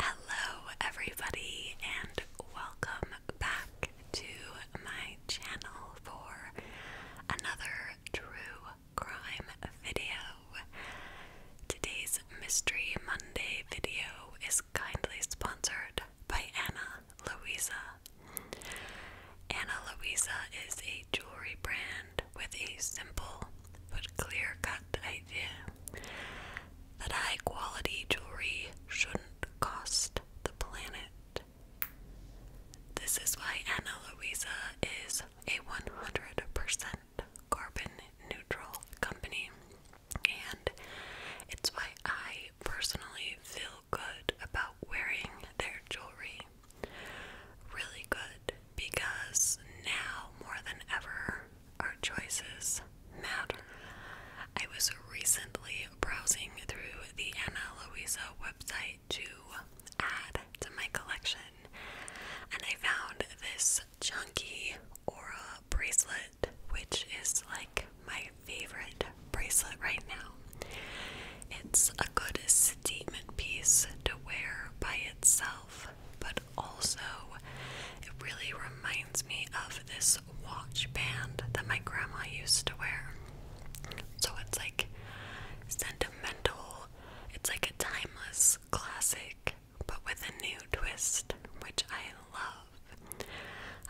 Hello, everybody, and welcome back to my channel for another true crime video. Today's Mystery Monday video is kindly sponsored by Anna Louisa. Anna Louisa is a jewelry brand with a simple but clear cut idea that high quality jewelry shouldn't cost the planet. This is why Anna Luisa is a 100% carbon neutral company, and it's why I personally feel good about wearing their jewelry. Really good because now more than ever, our choices matter. I was recently browsing through the Anna Luisa website to add to my collection, and I found this chunky aura bracelet, which is like my favorite bracelet right now. It's a good statement piece to wear by itself but also it really reminds me of this watch band that my grandma used to wear. So it's like sentimental, it's like a timeless classic, but with a new twist, which I love.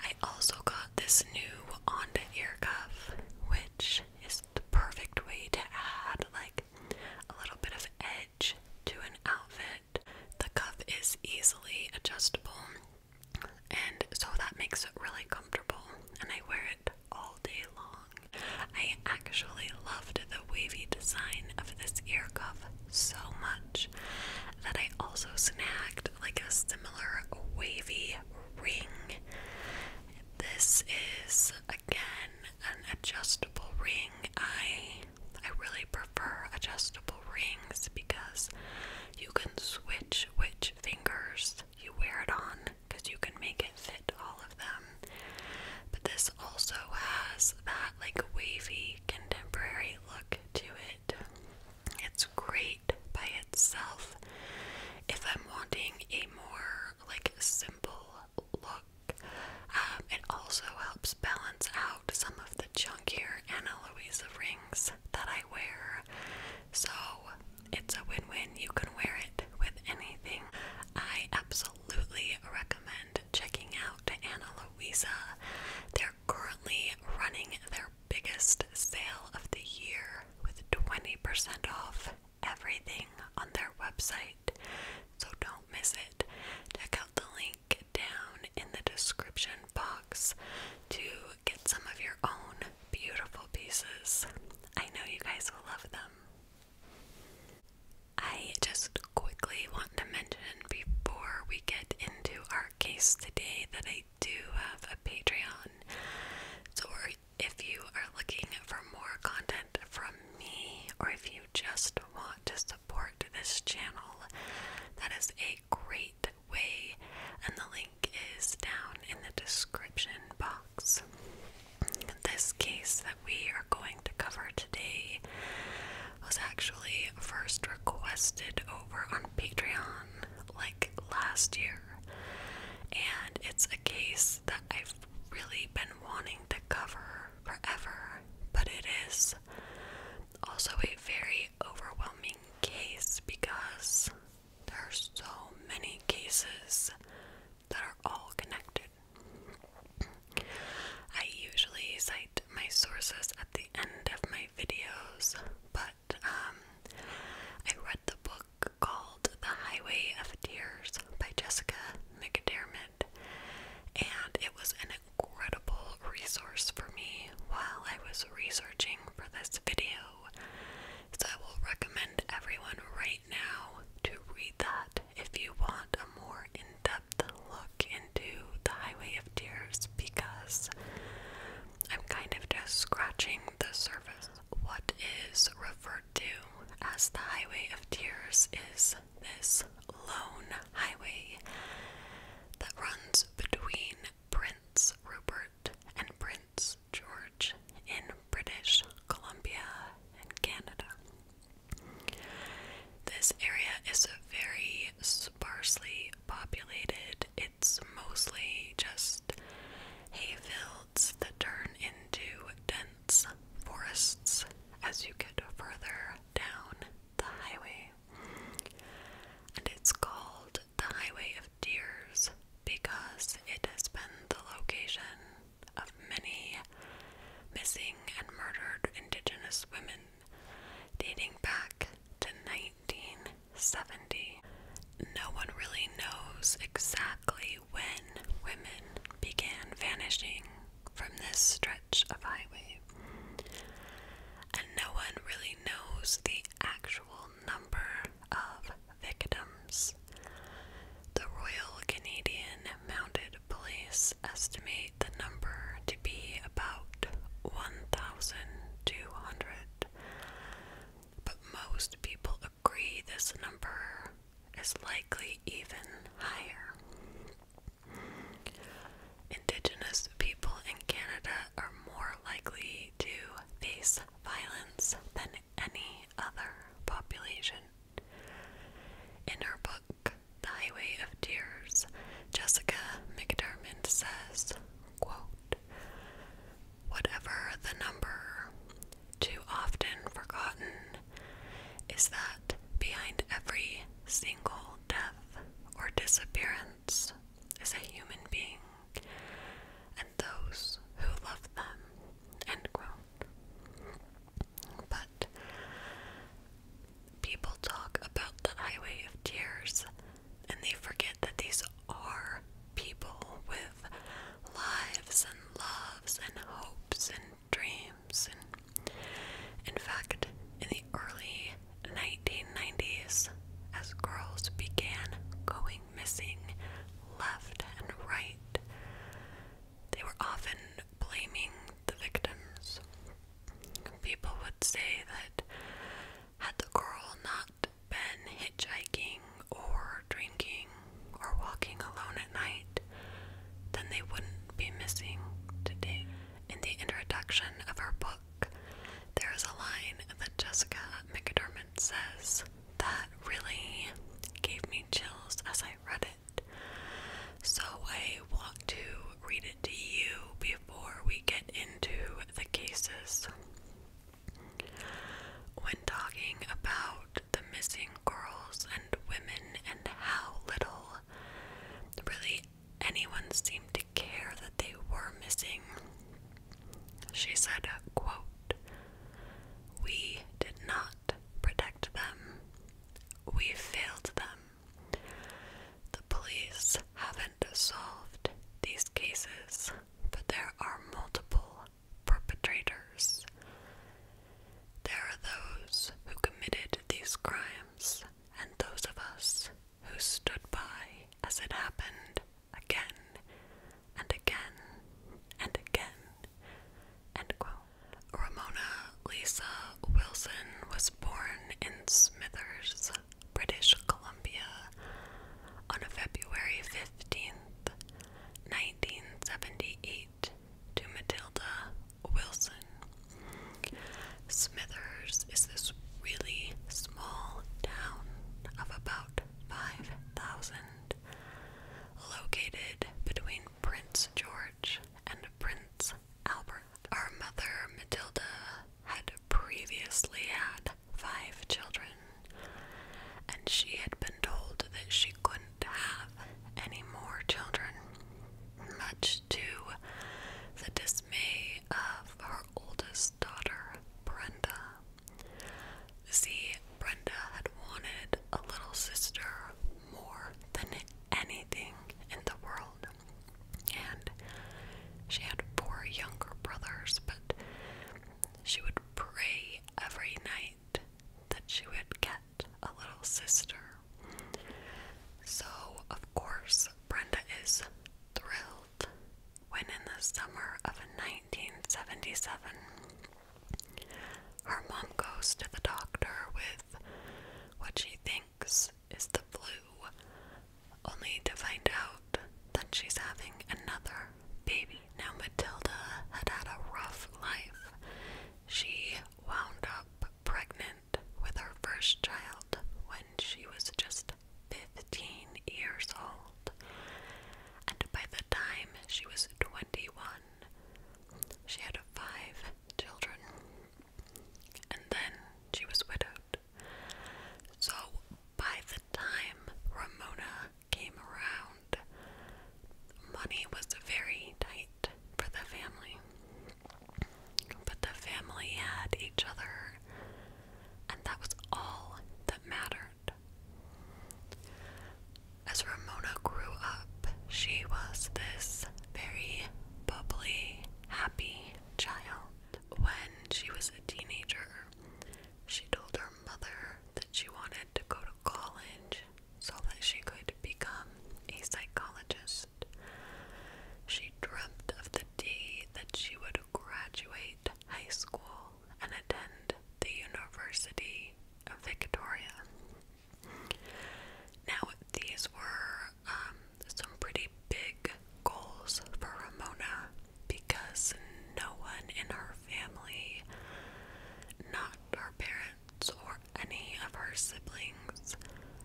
I also got this new Onda ear cuff, which is the perfect way to add like a little bit of edge to an outfit the cuff is easily adjustable and so that makes it really comfortable and I wear it all day long. I actually loved the wavy design of this ear cuff so much that I also snagged like a similar wavy ring. This is again an adjustable ring. I I really prefer adjustable rings because you can switch which fingers you wear it on because you can make it fit all of them. But this also has that like wavy contemporary look to it. It's great by itself. If I'm wanting a more like simple look, um, it also helps balance out some of the chunkier Ana Luisa rings that I wear. So it's a win win. You can wear it with anything. I absolutely recommend checking out Ana Luisa. They're currently running their biggest sale of the year with 20% off everything on their website. So don't miss it. Check out the link link down in the description box to get some of your own beautiful pieces. I know you guys will love them. I just quickly want to mention before we get into our case today that I do have a Patreon. So if you are looking for more content from me or if you just want to support, support this channel. That is a great way, and the link is down in the description box. This case that we are going to cover today was actually first requested over on Patreon like last year, and it's a case that I've really been wanting to cover forever, but it is also a very overwhelming case because there are so many cases that are all connected. I usually cite my sources at the end of my videos, but um, I read the book called The Highway of Tears by Jessica McDermott. And it was an incredible resource for me while I was researching for this video. So I will recommend everyone right now to read that if you want a more in depth look into The Highway of Tears because I'm kind of just scratching the surface. What is referred to as the Highway of Tears is this lone highway that runs between Prince Rupert and Prince George in British Columbia and Canada. This area is very sparsely populated. It's mostly just hay fields that turn into dense forests as you get further down the highway. And it's called the Highway of Tears because it has been the location of many missing and murdered Indigenous women dating back to 1970. No one really knows exactly when women began vanishing from this stretch of highway. And no one really knows the actual number of victims. The Royal Canadian Mounted Police estimate the number to be about 1,200, but most people agree this number is likely even higher. Indigenous people in Canada are more likely to face violence than any other population. In her book, The Highway of Tears, Jessica McDermott says, quote, Whatever the number, too often forgotten is that behind every single death or disappearance is a human being and those who love them. End quote. But people talk about the highway of tears and they forget that these are people with lives and loves and hopes and dreams in fact, in the early 1990s, as girls began going missing left and right, they were often blaming the victims. People would say that had the girl not been hitchhiking or drinking or walking alone at night, then they wouldn't be missing today. In the introduction of her book, there is a line that Jessica McDermott says that really gave me chills as I read it. So I want to read it to you before we get into the cases. When talking about the missing girls and women and how little really anyone seemed to care that they were missing. She said, quote, We did not protect them. We failed them. The police haven't solved these cases, but there are multiple perpetrators. There are those who committed these crimes and those of us who stood by as it happened again and again and again. Ramona Lisa Wilson was born in Smithers, British Columbia, on February 15th, 1978, to Matilda Wilson. Smithers is this really small town of about 5,000, located between Prince George and Prince Albert. Our mother, Matilda, had previously had five children, and she had been told that she couldn't have any more children, much to the dismay of her oldest daughter, Brenda. See, Brenda had wanted a little sister more than anything in the world. And she had four younger brothers, but she would pray every night that she would get a little sister. So, of course, Brenda is thrilled when, in the summer of 1977, her mom goes to the doctor with what she thinks is the flu, only to find out that she's having another baby. Now, Matilda had had a rough life. She wound up pregnant with her first child when she was just 15 years old, and by the time she was 21, she had five children, and then she was widowed. So, by the time Ramona came around, money was very tight for the family. But the family had each other, and that was all that mattered. As Ramona grew up, she was this very bubbly, happy child. When she was a teenager, she told her mother that she wanted to go to college so that she could become a psychologist. She dreamt of the day that she would graduate high school and attend the University of Victoria. Now, these were um, some pretty big goals for Ramona because no one in her family, not her parents or any of her siblings, siblings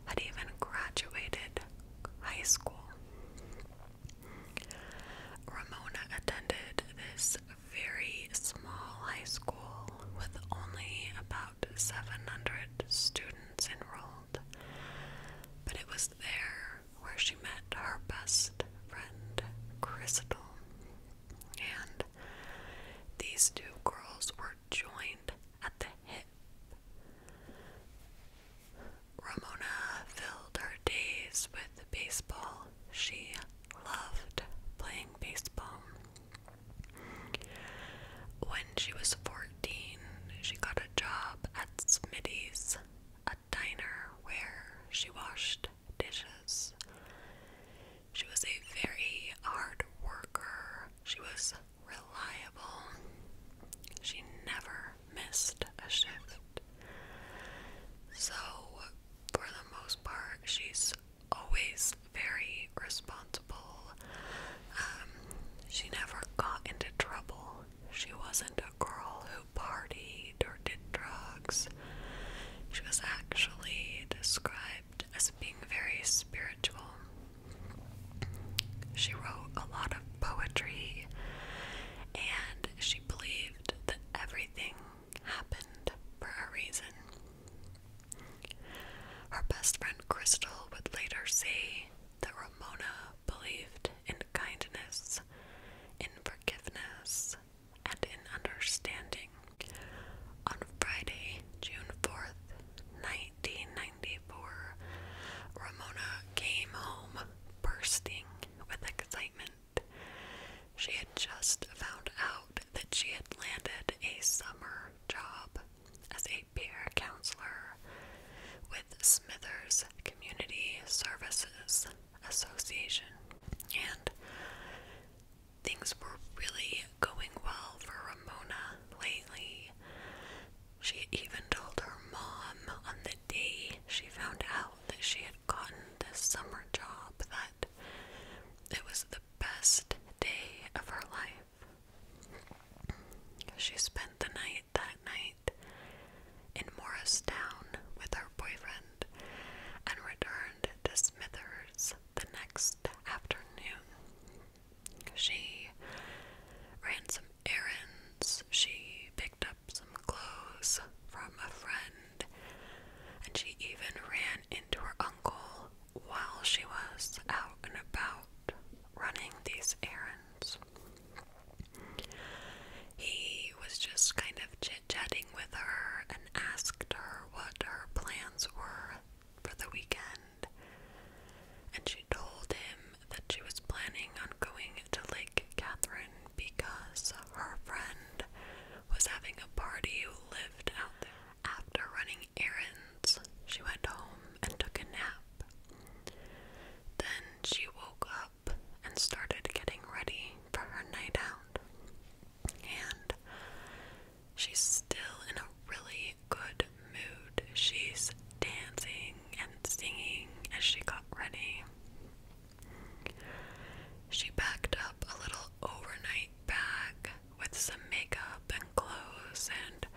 had even graduated high school. Ramona attended this very small high school with only about 700 students enrolled, but it was there where she met her best friend, Crystal. And these two girls were joined at the hip. Ramona filled her days with baseball. She loved playing baseball. When she was 14, she got a job at Smitty's, a diner where she washed dishes. She was a very hard worker. She was reliable. She never missed a shift. So, for the most part, she's always very responsible. Um, she never got into trouble. She wasn't a girl who partied or did drugs. She was actually described as being very spiritual. She wrote a lot of poetry and she believed that everything happened for a reason. Her best friend Crystal would later say that Ramona believed in kindness, in forgiveness, and in understanding. On Friday, June 4th, 1994, Ramona came home bursting with excitement. She had just found out that she had landed a summer job as a peer counselor with Smithers Community Services Association. And things were really going well for Ramona lately. She even told her mom on the day she found out that she had gotten this summer job that it was the best day of her life. She spent the night that night in Morristown with her boyfriend and returned to Smithers the next afternoon. She ran some errands, she picked up some clothes from a friend, and she even ran into her uncle while she was out and about running these errands. He was just kind of chit chatting with her and asked her what her plans were for the weekend and she told him that she was planning on going to Lake Catherine because her friend was having a party who lived out there. After running errands, she went home and took a nap. Then she woke up and started getting ready for her night out. And she's still in a really good mood. She's dancing and singing as she got ready. She packed up a little overnight bag with some makeup and clothes, and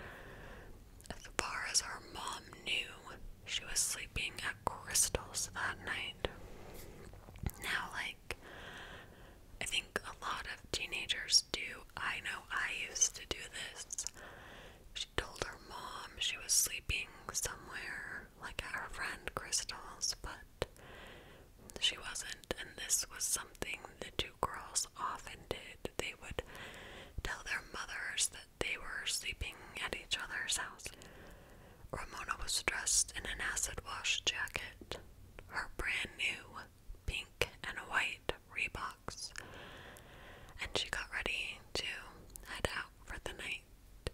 as far as her mom knew, she was sleeping at Crystal's that night. Now, like, I think a lot of teenagers do I know I used to do this. She told her mom she was sleeping somewhere, like at her friend Crystal's, but she wasn't. And this was something the two girls often did. They would tell their mothers that they were sleeping at each other's house. Ramona was dressed in an acid wash jacket, her brand new pink and white Reebok and she got ready to head out for the night.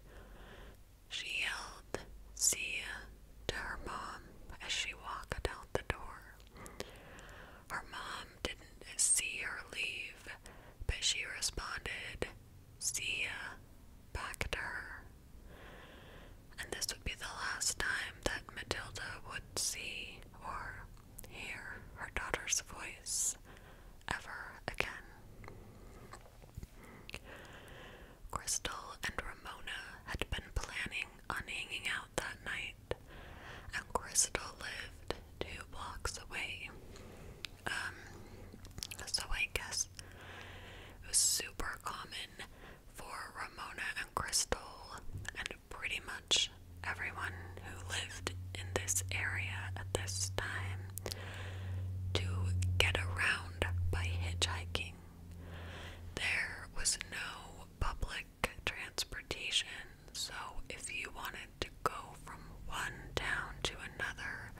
She yelled, See ya, to her mom as she walked out the door. Her mom didn't see her leave, but she responded, See ya, back to her. And this would be the last time that Matilda would see or hear her daughter's voice ever again. Crystal and Ramona had been planning on hanging out that night, and Crystal lived two blocks away. Um, so I guess it was super common for Ramona and Crystal and pretty much everyone who lived in this area at this time to get around by hitchhiking. There was no public transportation, so if you wanted to go from one town to another,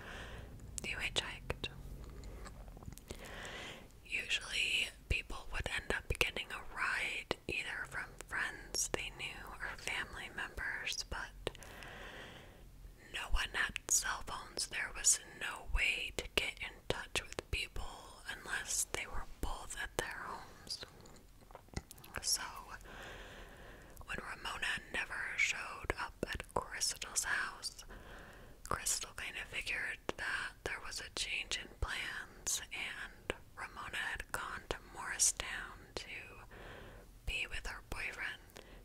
you hitchhiked. Usually, people would end up getting a ride either from friends they knew or family members, but no one had cell phones. There was no way to get in touch with people unless they were both at their homes. So, when Ramona never showed up at Crystal's house, Crystal kind of figured that there was a change in plans, and Ramona had gone to Morristown to be with her boyfriend.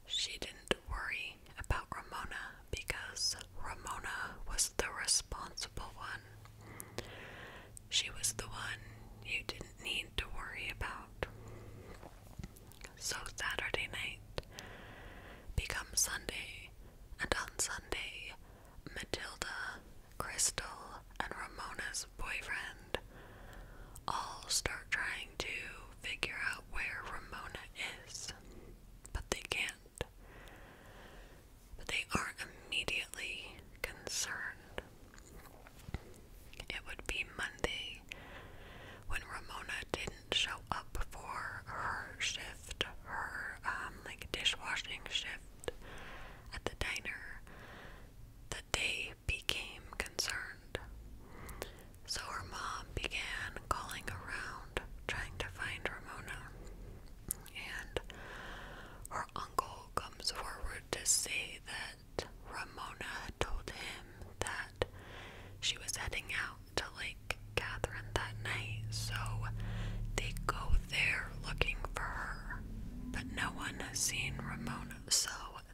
She didn't worry about Ramona because Ramona was the responsible one. She was the one you didn't need to worry about. So Saturday night becomes Sunday, and on Sunday, Matilda Crystal, and Ramona's boyfriend all start trying to figure out where Ramona is, but they can't. But they are immediately concerned. It would be Monday when Ramona didn't show up for her shift, her um, like dishwashing shift at the diner they became concerned. So her mom began calling around trying to find Ramona. And her uncle comes forward to say that Ramona had told him that she was heading out to Lake Catherine that night. So they go they're looking for her, but no one has seen Ramona, so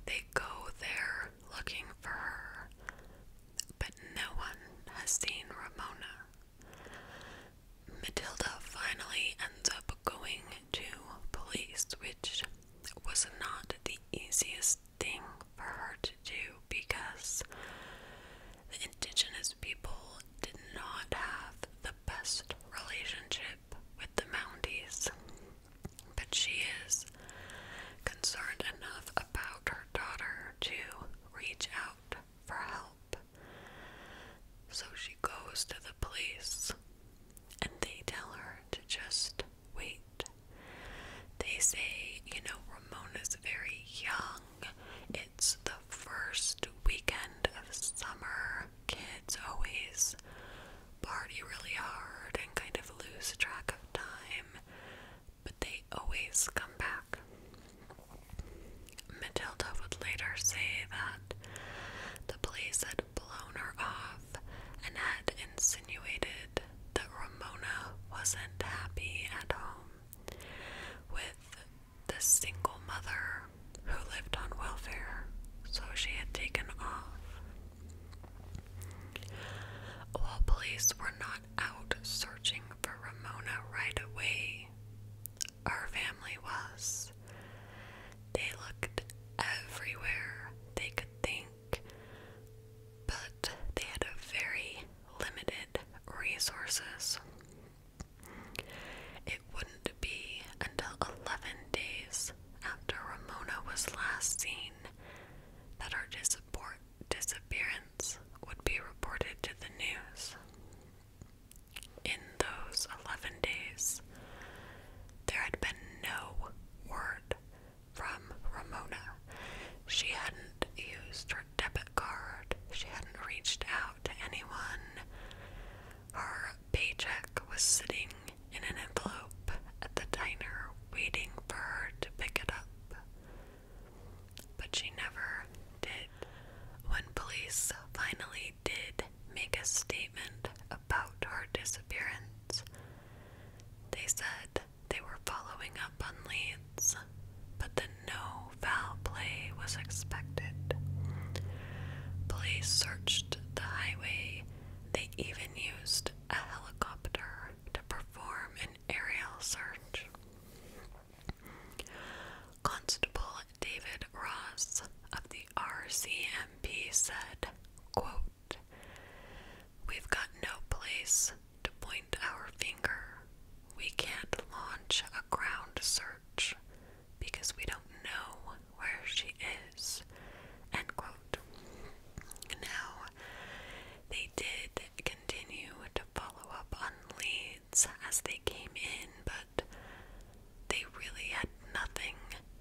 they go there looking for her, but no one has seen Ramona. Matilda finally ends up going to police, which was not the easiest thing for her to do because the indigenous people did not have the best relationship with the Mounties, but she is concerned enough about her daughter to reach out for help. So she goes to the police and they tell her to just wait. They say, you know, Ramona's very young. It's the first weekend of summer kids always party really hard and kind of lose track of time, but they always come back. Matilda would later say that the police had blown her off and had insinuated that Ramona wasn't happy at home with the single mother who lived on welfare, so she had taken off. While police were not out searching for Ramona right away, our family was. They looked everywhere they could think, but they had very limited resources. It wouldn't to be until 11 days after Ramona was last seen that her disappearance would be reported to the news. In those 11 days, there had been no word from Ramona. She hadn't used her debit card, she hadn't reached out to anyone. Her paycheck was sitting in an envelope at the diner, waiting for her to pick it up. But she never did. When police finally did make a statement about her disappearance, they said they were following up on leads, but that no foul play was expected. Police searched the highway, they even used a helicopter to perform an aerial search. Constable David Ross of the RCMP said, quote, We've got no place to point our finger. We can't launch a ground search because we don't know where she is. End quote. Now, they did continue to follow up on leads as they came in, but they really had nothing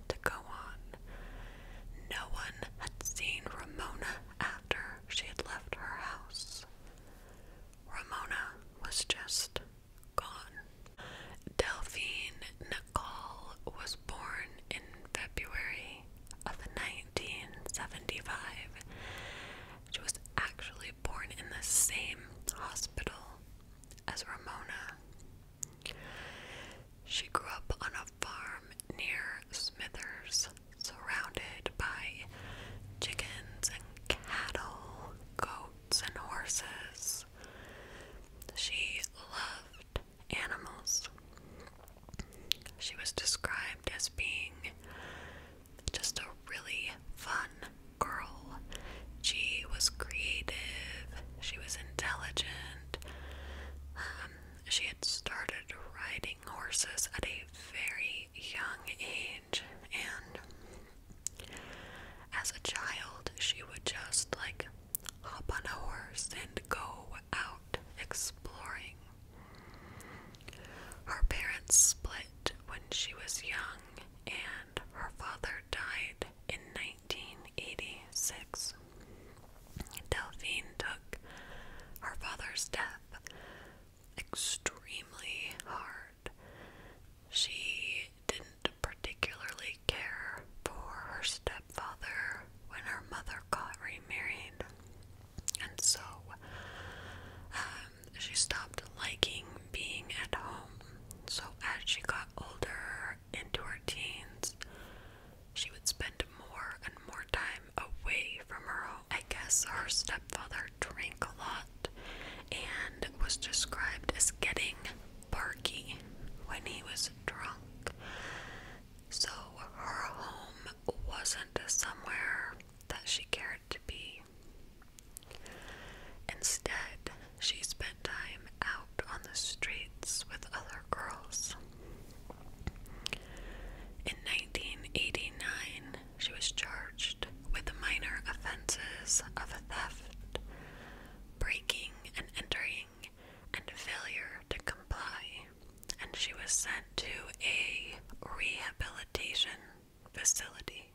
to go on. No one had seen Ramona after she had left her house. Ramona was just Delphine Nicole was born in February of 1975. She was actually born in the same hospital as Ramona. She grew up on a farm near Smithers, surrounded by chickens and cattle, goats and horses. She loved animals. She was described as being just a really fun girl. She was creative, she was intelligent. Um, she had started riding horses at a very young age, and as a child, she would just like hop on a horse, and go out exploring. Her parents split when she was young, and her father died in 1986. Delphine took her father's death extremely hard. She didn't particularly care for her stepfather when her mother got remarried, and so um, she stopped liking being at home. So, as she got older into her teens, she would spend more and more time away from her home. I guess her stepfather drank a lot and was described as getting barky when he was drunk. So her home wasn't somewhere that she cared to be. Instead, she spent time out on the streets with other girls. In 1989, she was charged with minor offenses of theft, breaking and entering, and failure to comply, and she was sent to a rehabilitation facility.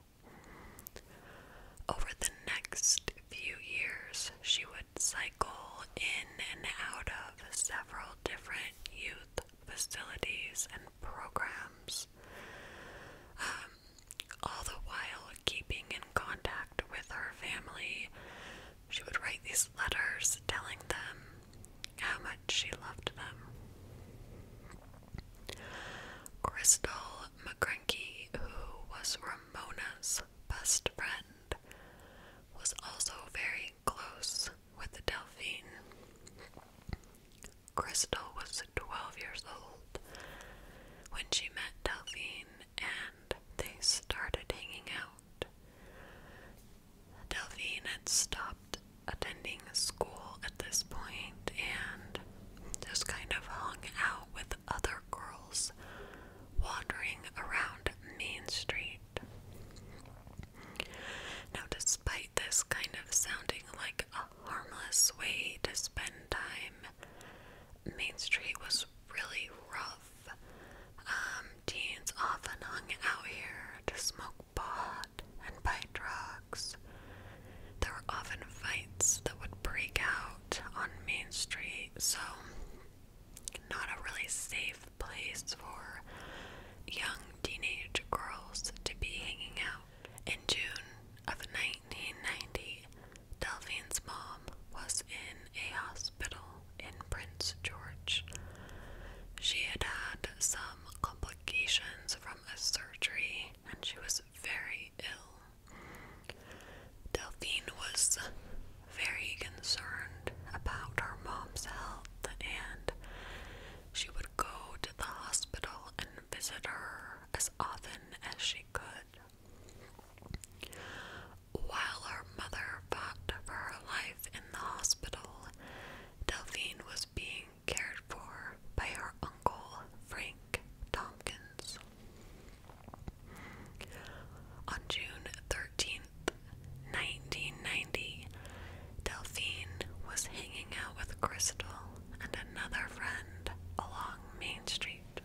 Over the next few years, she would cycle in and out of several different youth facilities and programs. Um, all the while keeping in contact with her family. She would write these letters telling them how much she loved them. Crystal McCranky, who was Ramona's best friend, was also very close with Delphine. Crystal was 12 years old when she met Delphine, and they started hanging out. Delphine had stopped attending school at this point and just kind of hung out with other girls wandering around Main Street. Now, despite this kind of sounding like a harmless way to spend time, Main Street was really rough. Um, teens often hung out here to smoke pot and buy drugs. There were often fights that would break out on Main Street, so not a really safe place for young teenage girls to be hanging out. In June of 1990, Delphine's mom was in a hospital in Prince George. She had had some complications from a surgery and she was very ill. Delphine was very concerned about her mom's health and she would go to the hospital and visit her as often as she could. While her mother fought for her life in the hospital, Delphine was being cared for by her uncle, Frank Tompkins. On June 13, 1990, Delphine was hanging out with Crystal and another friend along Main Street.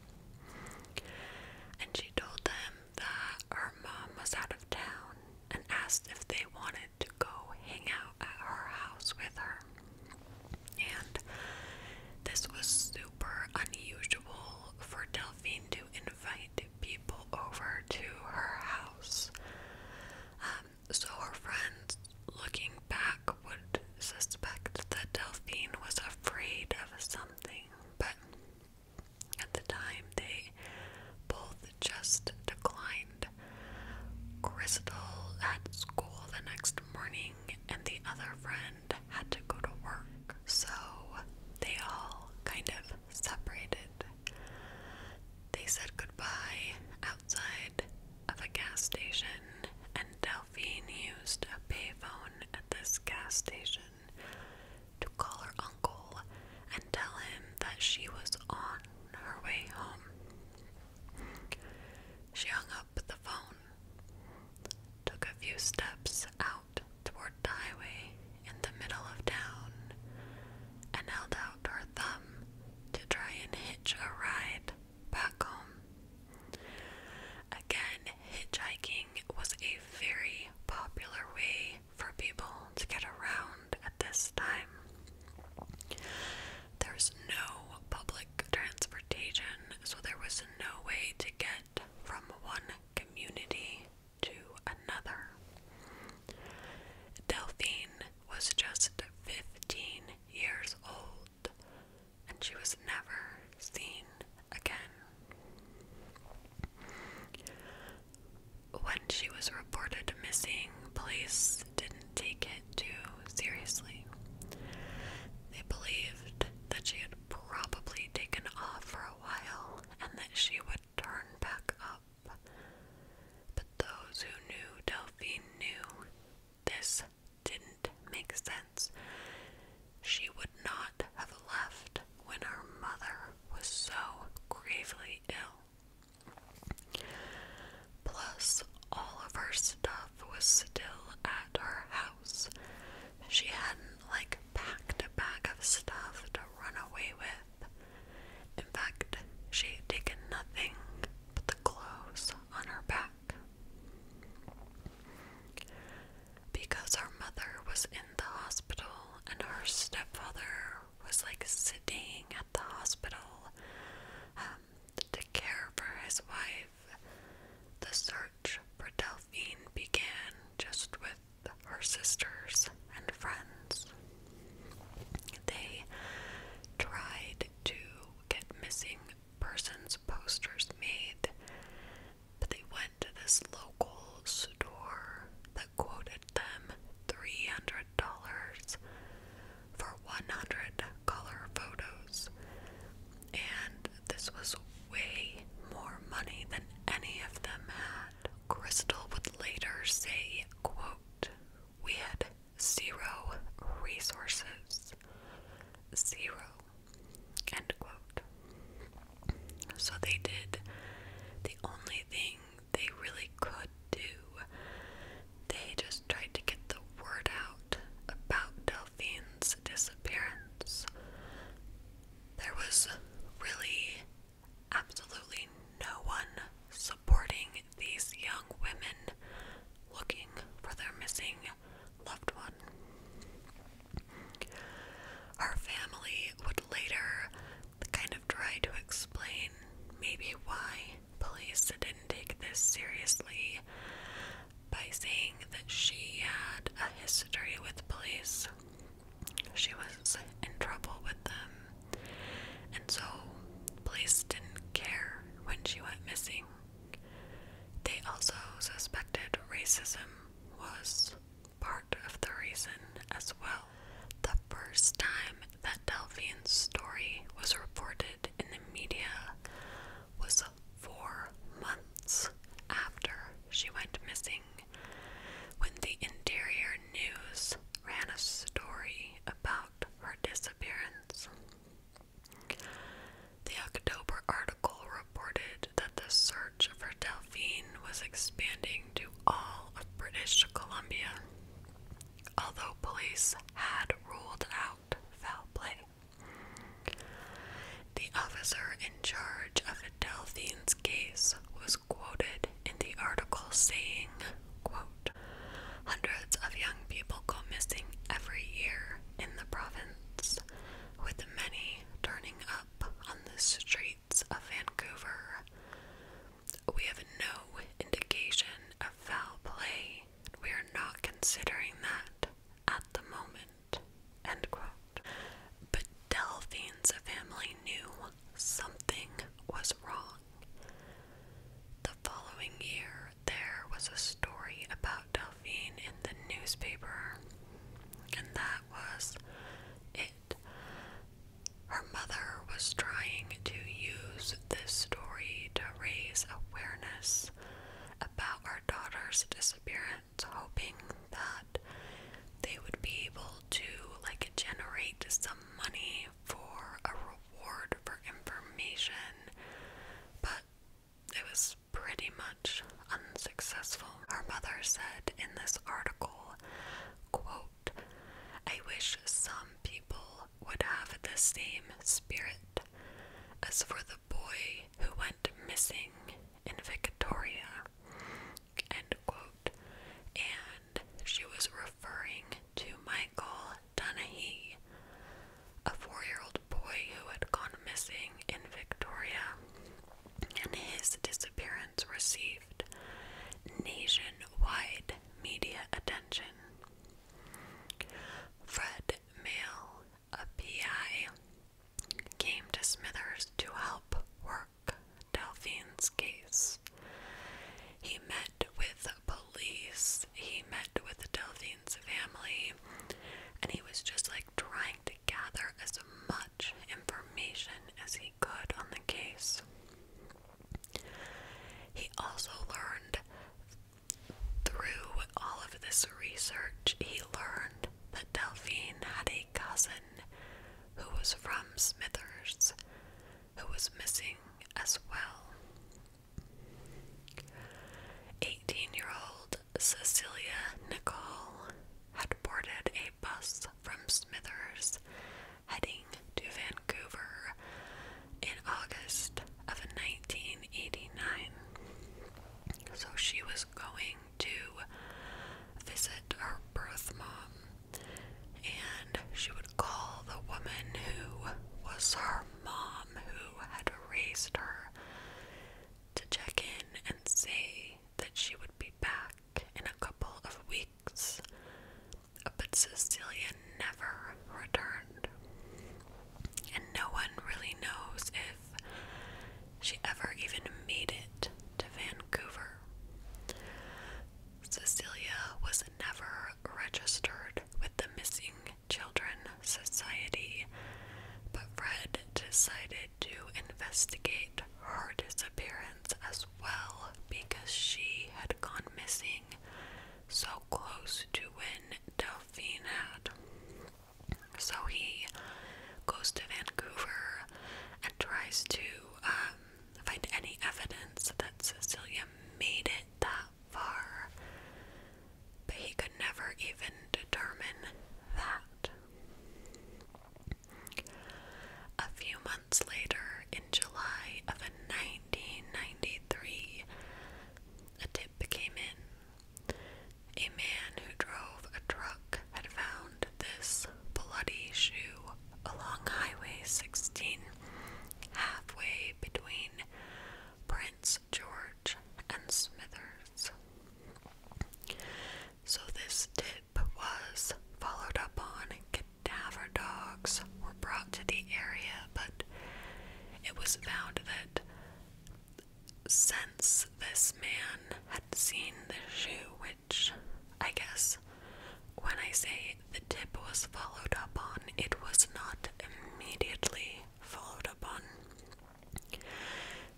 And she told them that her mom was out of town and asked if they wanted to go hang out at her house with her. And this was super unusual for Delphine to invite people over to her house. Um, so her friends, looking back, would suspect that Delphine was afraid of something but at the time they both just declined. Crystal had school the next morning, and the other friend had to go to work, so they all kind of separated. They said goodbye outside of a gas station, and Delphine used a payphone this gas station to call her uncle and tell him that she was on her way home. She hung up the phone, took a few steps out toward the highway in the middle of town, and held out her thumb to try and hitch a ride back home. Again, hitchhiking was a very popular way for people to get around at this time. There's no public transportation, so there was no way to get from one community to another. Delphine was just 15 years old and she was never seen again. When she was reported missing, police didn't take it too seriously. They believed that she had probably taken off for a while and that she would turn back up. But those who knew Delphine knew this didn't make sense. She would not have left when her mother was so gravely ill. Plus, all of her stuff was still at her house. She hadn't, like, packed a bag of stuff to run away with. In fact, she had taken nothing but the clothes on her back. Because her mother was in the hospital and her stepfather was like sitting at the hospital um, to care for his wife, the search for Delphine began just with her sisters and friends. They tried to get missing person posters made, but they went to this local store that quoted them $300 for 100 color photos. And this was way more money than any of them had. Crystal would later say, quote, we had zero resources. Zero. So they did the only thing they really could do. They just tried to get the word out about Delphine's disappearance. There was really absolutely no one supporting these young women looking for their missing loved one. Her family would later kind of try to explain maybe why police didn't take this seriously by saying that she had a history with police. She was in trouble with them, and so police didn't care when she went missing. They also suspected racism was part of the reason as well. The first time that Delphine's story was reported in the media was four months after she went missing, when the Interior News ran a story about her disappearance. The October article article reported that the search for Delphine was expanding to all of British Columbia, although police had ruled out foul play. The officer in charge of Delphine's case was quoted in the article saying, quote, of young people go missing every year in the province, with many turning on the streets of Vancouver. We have no indication of foul play. We are not considering that at the moment. End quote. But Delphine's family knew something was wrong. The following year, there was a story about Delphine in the newspaper, and that was it. Her mother was trying to use this story to raise awareness about her daughter's disappearance, hoping that they would be able to like generate some money for a reward for information. But it was pretty much unsuccessful. Her mother said in this article, quote, I wish some people would have the same spirit as for the boy who went missing in Victoria, end quote. And she was referring to Michael Donahue, a four year old boy who had gone missing in Victoria, and his disappearance received nationwide media attention. Fred Mail, a PI, came to Smithers to help work Delphine's case. He met with police, he met with Delphine's family, and he was just like trying to gather as much information as he could on the case. He also learned through all of this research, he learned that Delphine had a cousin who was from Smithers who was missing as well. 18 year old Cecilia Nicole had boarded a bus from Smithers heading to Vancouver in August of 1989. So she was going to visit her birth mom, and she would call the woman who was her mom, who had raised her, to check in and say that she would be back in a couple of weeks, but Cecilia never returned. And no one really knows if she ever even made it to Vancouver. Cecilia was never registered with the Missing Children Society, but Fred decided to investigate her disappearance as well because she had gone missing so close to when Delphine had. So he goes to Vancouver and tries to um, find any evidence that Cecilia made it that far, but he could never even determine that. A few months later, in July of 1993, a tip came in. A man who drove a truck had found this bloody shoe along Highway 16, halfway between Prince George and Smithers. So this tip was followed up on and cadaver dogs were brought to the area, but it was found that since this man had seen the shoe, which I guess when I say the tip was followed up on, it was not immediately followed up on.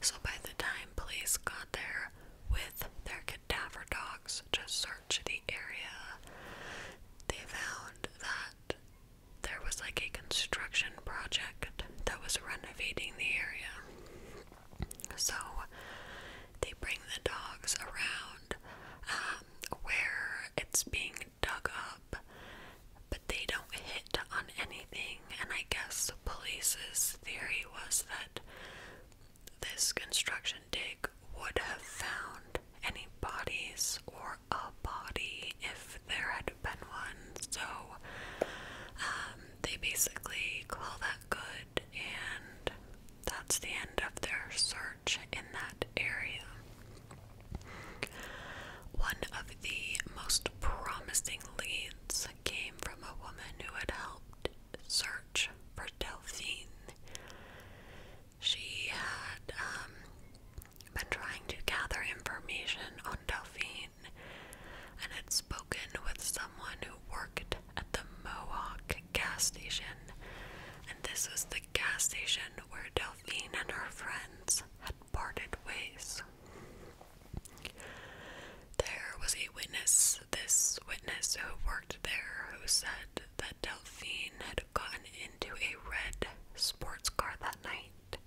So by the time police got there with their cadaver dogs to search the area, they found that there was like a construction project that was renovating the area. So they bring the dogs around um, where it's being dug up, but they don't hit on anything and I guess the police's theory was that this construction dig would have found any bodies or a body if there had been one. So um, they basically call that good, and that's the end of their search in that area. One of the most promising leads evidence came from a woman who had helped search for Delphine. She had um, been trying to gather information on Delphine and had spoken with someone who worked at the Mohawk gas station. And this was the gas station where Delphine and her friends had parted ways. There was a witness, this witness who worked there, who said that Delphine had gotten into a red sports car that night.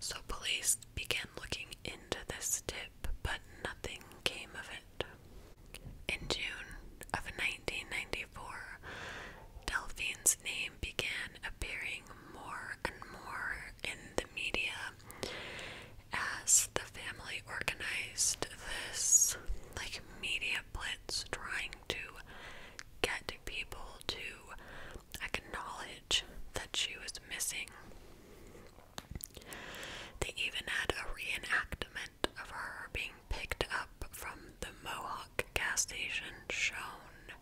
So police began looking into this tip, but nothing came of it. In June of 1994, Delphine's name began appearing more and more in the media as the family organized this like media blitz trying to get people to acknowledge that she was missing. They even had a reenactment of her being picked up from the Mohawk gas station shown.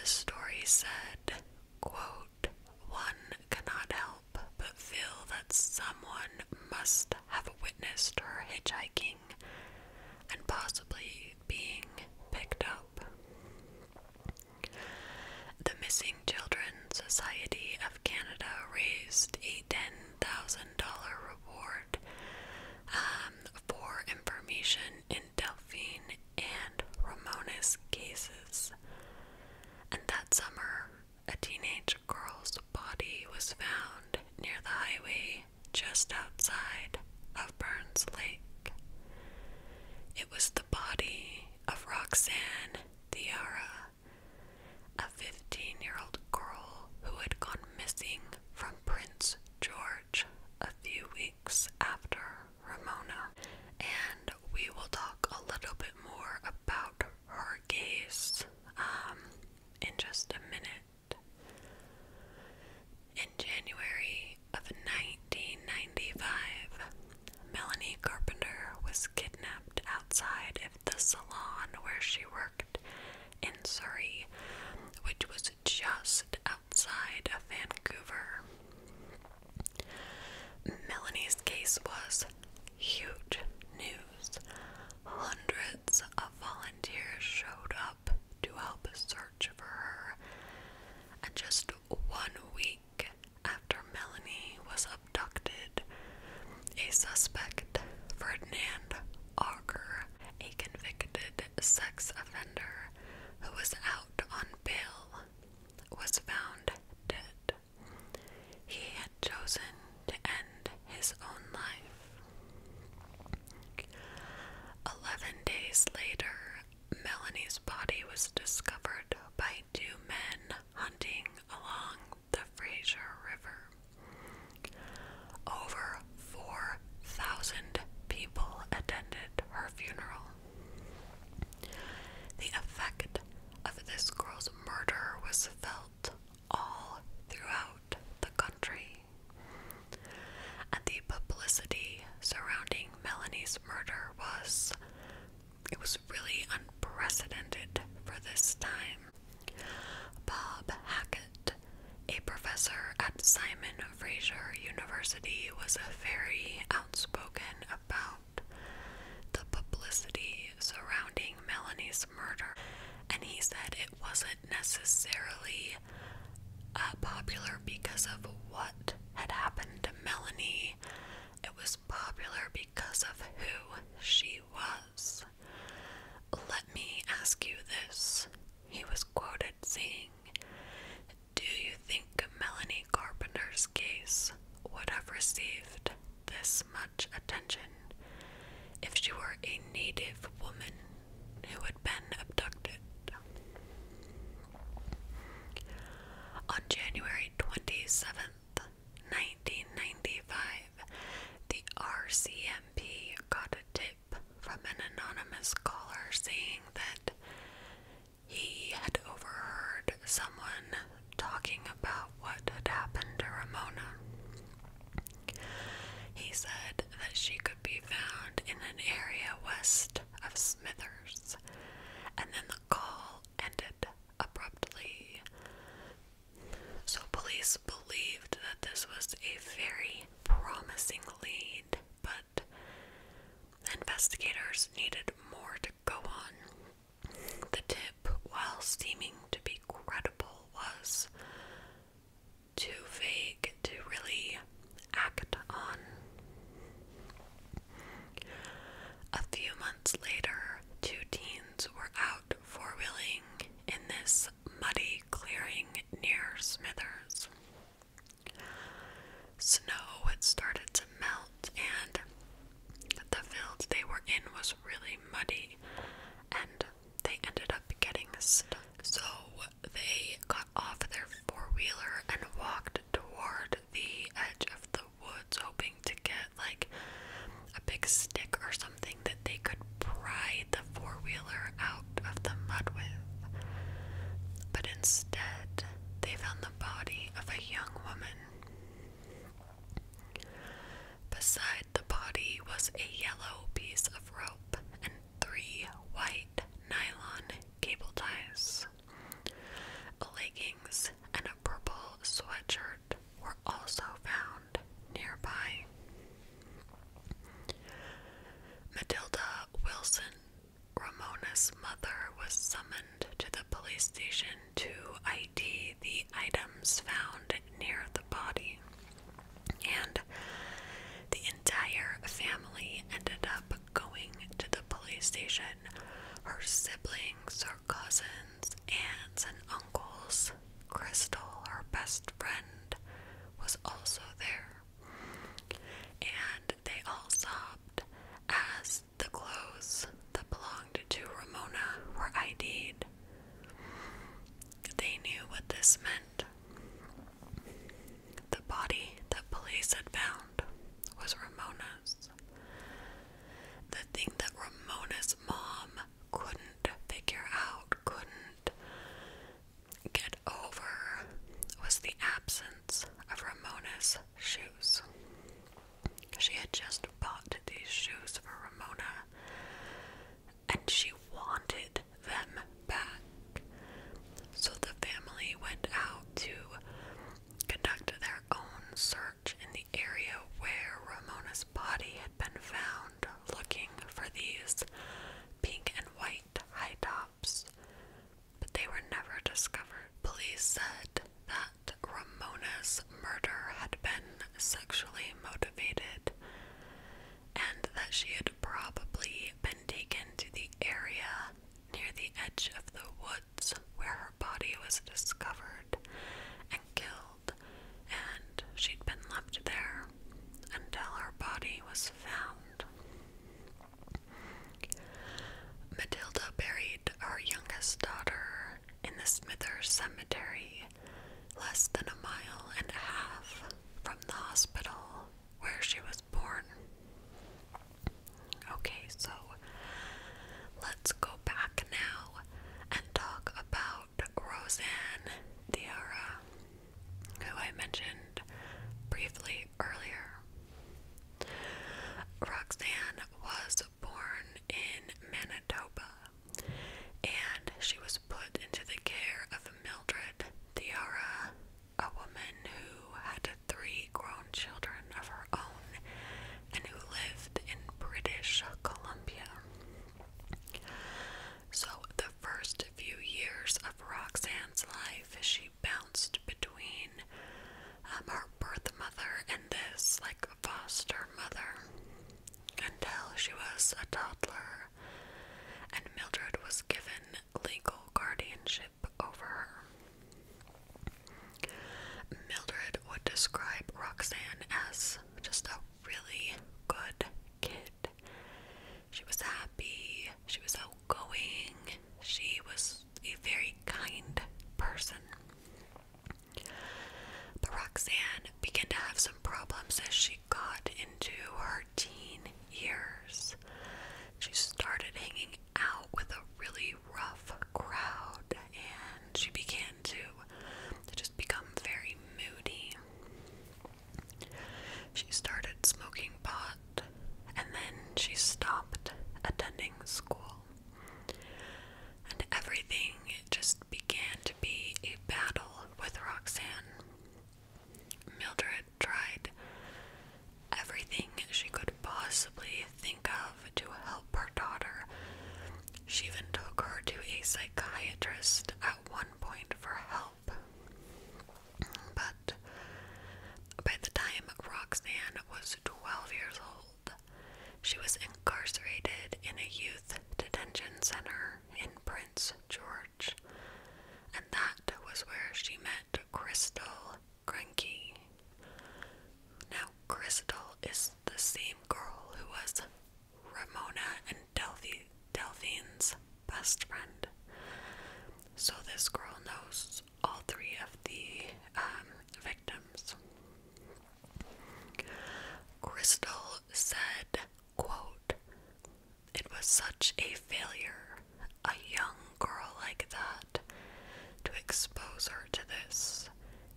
The story said, quote, one cannot help but feel that someone must have witnessed her hitchhiking and possibly being picked up. The Missing Children Society of Canada raised a $10,000 reward um, for information in Delphine, and Ramona's cases. And that summer, a teenage girl's body was found near the highway just outside of Burns Lake. It was the body of Roxanne Thiara, a 15 year old girl who had gone missing from Prince George a few weeks after Ramona. And we will talk a little bit more about her case um, in just a minute. In January of 1995, Melanie Carpenter was kidnapped outside of the salon where she worked in Surrey, which was just outside of Vancouver. Melanie's case was huge news. Hundreds of volunteers showed up to help search for her. And just one week after Melanie was abducted, a suspect, Ferdinand Auger, a convicted sex offender who was out on bail, was found dead. He had chosen to end his own life. Eleven days later, Melanie's body was discovered by two men hunting along the Fraser River. Over 4,000 people attended her funeral. The effect of this girl's murder was felt all throughout the country. And the publicity surrounding Melanie's murder was it was really unprecedented for this time. Bob Hackett, a professor at Simon Fraser University, was a very Unspoken about the publicity surrounding Melanie's murder, and he said it wasn't necessarily uh, popular because of what had happened to Melanie, it was popular because of who she was. Let me ask you this. He was quoted saying, do you think Melanie Carpenter's case would have received this much attention if she were a native woman who had been abducted? On January 27th, 1995, the RCMP got a tip from an anonymous caller saying that he had overheard someone talking about what had happened to Ramona. He said that she could be found in an area west of Smithers, and then the call ended abruptly. So, police believed that this was a very promising lead, but Investigators needed more to go on. The tip, while seeming to be credible, was too vague to really act on. A few months later, two teens were out four wheeling in this muddy clearing near Smithers. Snow had started to melt, and the field they were in was really muddy, and they ended up getting stuck. So they got off their four wheeler and walked toward the edge of the woods, hoping to get like a big stick or something that they could pry the four wheeler out of the mud with. But instead, they found the body of a young woman. Beside the body was a yellow piece of rope and three white nylon cable ties. Leggings and a purple sweatshirt were also found nearby. Matilda Wilson Ramona's mother was summoned to the police station to ID the items found near the body, and the entire family ended up going to the police station. Her siblings, her cousins, aunts, and uncles. Crystal, her best friend, was also there, and they all sobbed as the clothes that belonged to Ramona were ID'd. They knew what this meant. The body that police had found was Ramona's. The thing that Ramona's mom couldn't figure out, couldn't get over, was the absence of Ramona's shoes. She had just bought these shoes for Ramona and she wanted them back. So the family went out to conduct their own search in the area where Ramona's body had been found, looking for these pink and white high tops they were never discovered. Police said that Ramona's murder had been sexually motivated and that she had probably been taken to the area near the edge of the woods where her body was discovered and killed, and she'd been left there until her body was found. Matilda buried her youngest daughter in the Smithers Cemetery, less than a mile and a half from the hospital where she was born. Okay, so let's go back now and talk about Roseanne Diarra, who I mentioned briefly earlier. Roxanne was born in Manitoba and she was put into the care of Mildred Theara, a woman who had three grown children of her own and who lived in British Columbia. So, the first few years of Roxanne's life, she she bounced between um, her birth mother and this like foster mother until she was a toddler and Mildred was given legal guardianship over her. Mildred would describe Roxanne as just a really good kid. She was happy, she was outgoing, she was a very kind person. Roxanne began to have some problems as she got into her teen years. She started hanging out with a really rough crowd and she began to, to just become very moody. She started smoking pot and then she stopped attending school. And everything just began to be a battle with Roxanne. Mildred tried everything she could possibly think of to help her daughter. She even took her to a psychiatrist at one point for help. But by the time Roxanne was 12 years old. She was incarcerated in a youth detention center in Prince George, and that was where she met Crystal Cranky. Now, Crystal is the same girl who was Ramona and Delphine's best friend. So, this girl knows all three of the um, victims. Crystal said, quote, It was such a failure, a young girl like that, to expose her to this.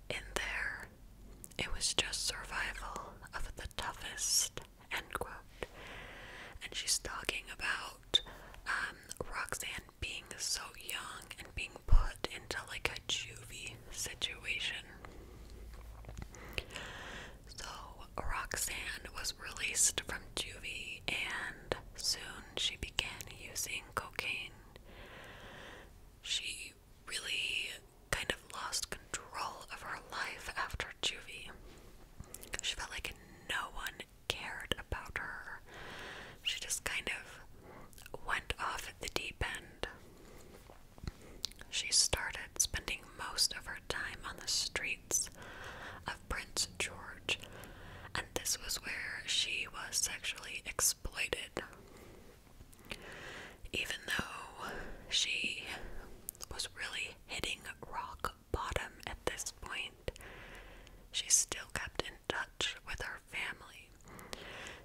In there, it was just survival of the toughest, end quote. And she's talking about um, Roxanne being so young and being put into like a juvie situation. So Roxanne was released from juvie and soon she began using cocaine. She really kind of lost control of her life after juvie. She felt like no one cared about her. She just kind of went off at the deep end. She started spending most of her time on the streets of Prince George, and this was where she was sexually exploited. Even though she was really hitting rock bottom at this point, she still kept in touch with her family.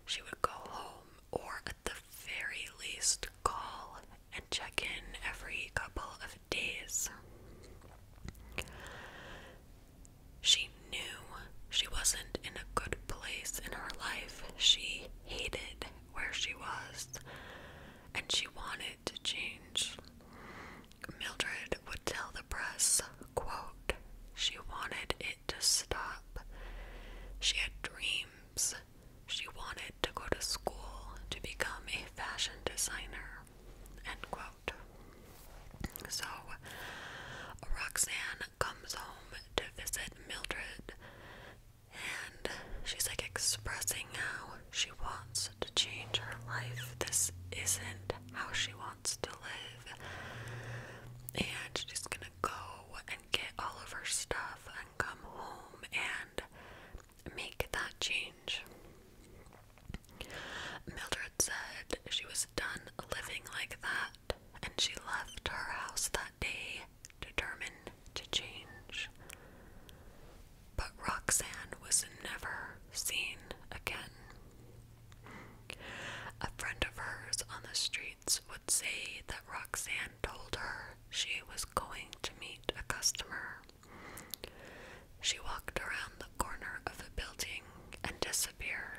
She would go home or, at the very least, call and check in every couple of days. She knew she wasn't in a good place in her life. She hated where she was and she wanted to change. Mildred would tell the press, quote, she wanted it to stop. She had dreams. She wanted to go to school to become a fashion designer. End quote. So Roxanne comes home to visit Mildred and she's like expressing how she wants to change her life. This isn't how she wants to live. And she's gonna go and get all of her stuff and come home and make that change. Mildred said she was done living like that and she left her house that day determined to change. But Roxanne was never seen again. A friend of hers on the streets would say that Roxanne told her she was going to meet a customer. She walked around the corner of a building and disappeared.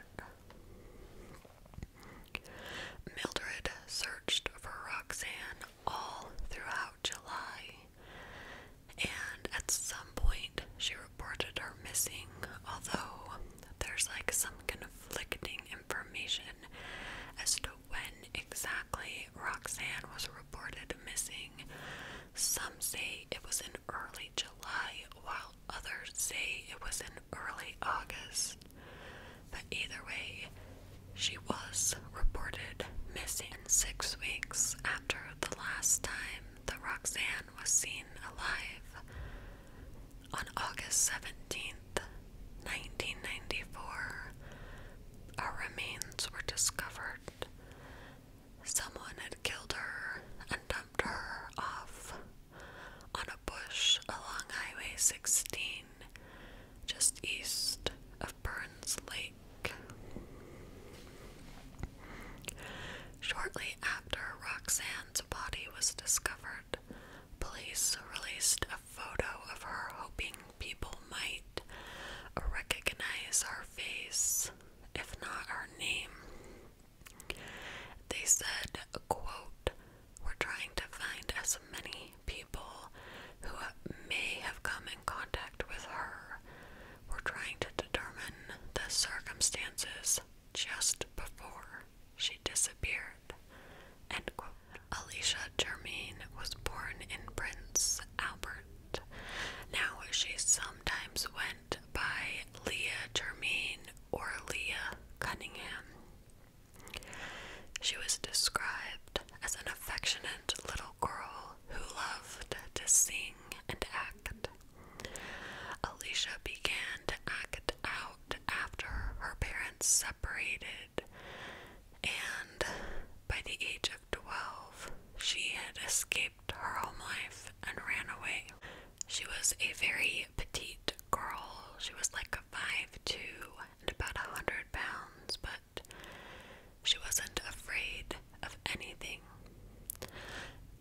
Mildred searched for Roxanne all throughout July, and at some point she she reported her missing, although there's like some conflicting information as to when exactly Roxanne was reported missing. Some say it was in early July, while others say it was in early August. But either way, she was reported missing six weeks after the last time that Roxanne was seen alive on August 17th, 1994. Our remains were discovered. Someone had killed her and dumped her off on a bush along Highway 16, just east of Burns Lake. Shortly after Roxanne's body was discovered, police released a photo of her, hoping people might recognize her face, if not her name. They said, quote, We're trying to find as many people who may have come in contact with her. We're trying to determine the circumstances just before she disappeared. End Alicia Germain was born in Prince Albert. Now she sometimes went by Leah Germain or Leah Cunningham. She was described as an affectionate little girl who loved to sing and act. Alicia began to act out after her parents separated, and by the age of 12, she had escaped her home life and ran away. She was a very petite girl. She was like five two and about 100 pounds, but she wasn't afraid of anything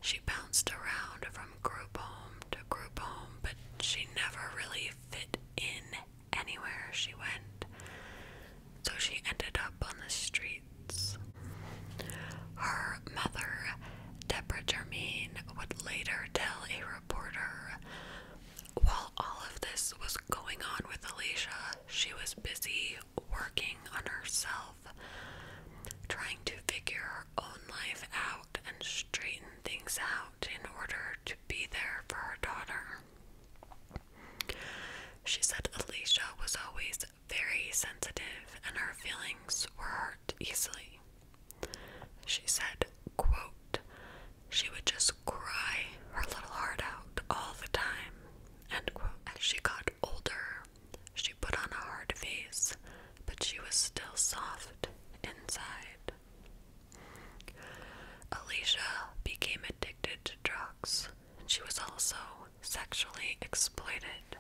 she bounced around from group home to group home, but she never really fit in anywhere she went, so she ended up on the streets. Her mother, Deborah Germain, would later tell a reporter while all of this was going on with Alicia, she was busy working on herself trying to figure her own life out and straighten things out in order to be there for her daughter. She said Alicia was always very sensitive and her feelings were hurt easily. She said, quote, she would just cry her little heart out all the time, and quote. As she got older, she put on a hard face, but she was still soft inside. Alicia became addicted to drugs. She was also sexually exploited.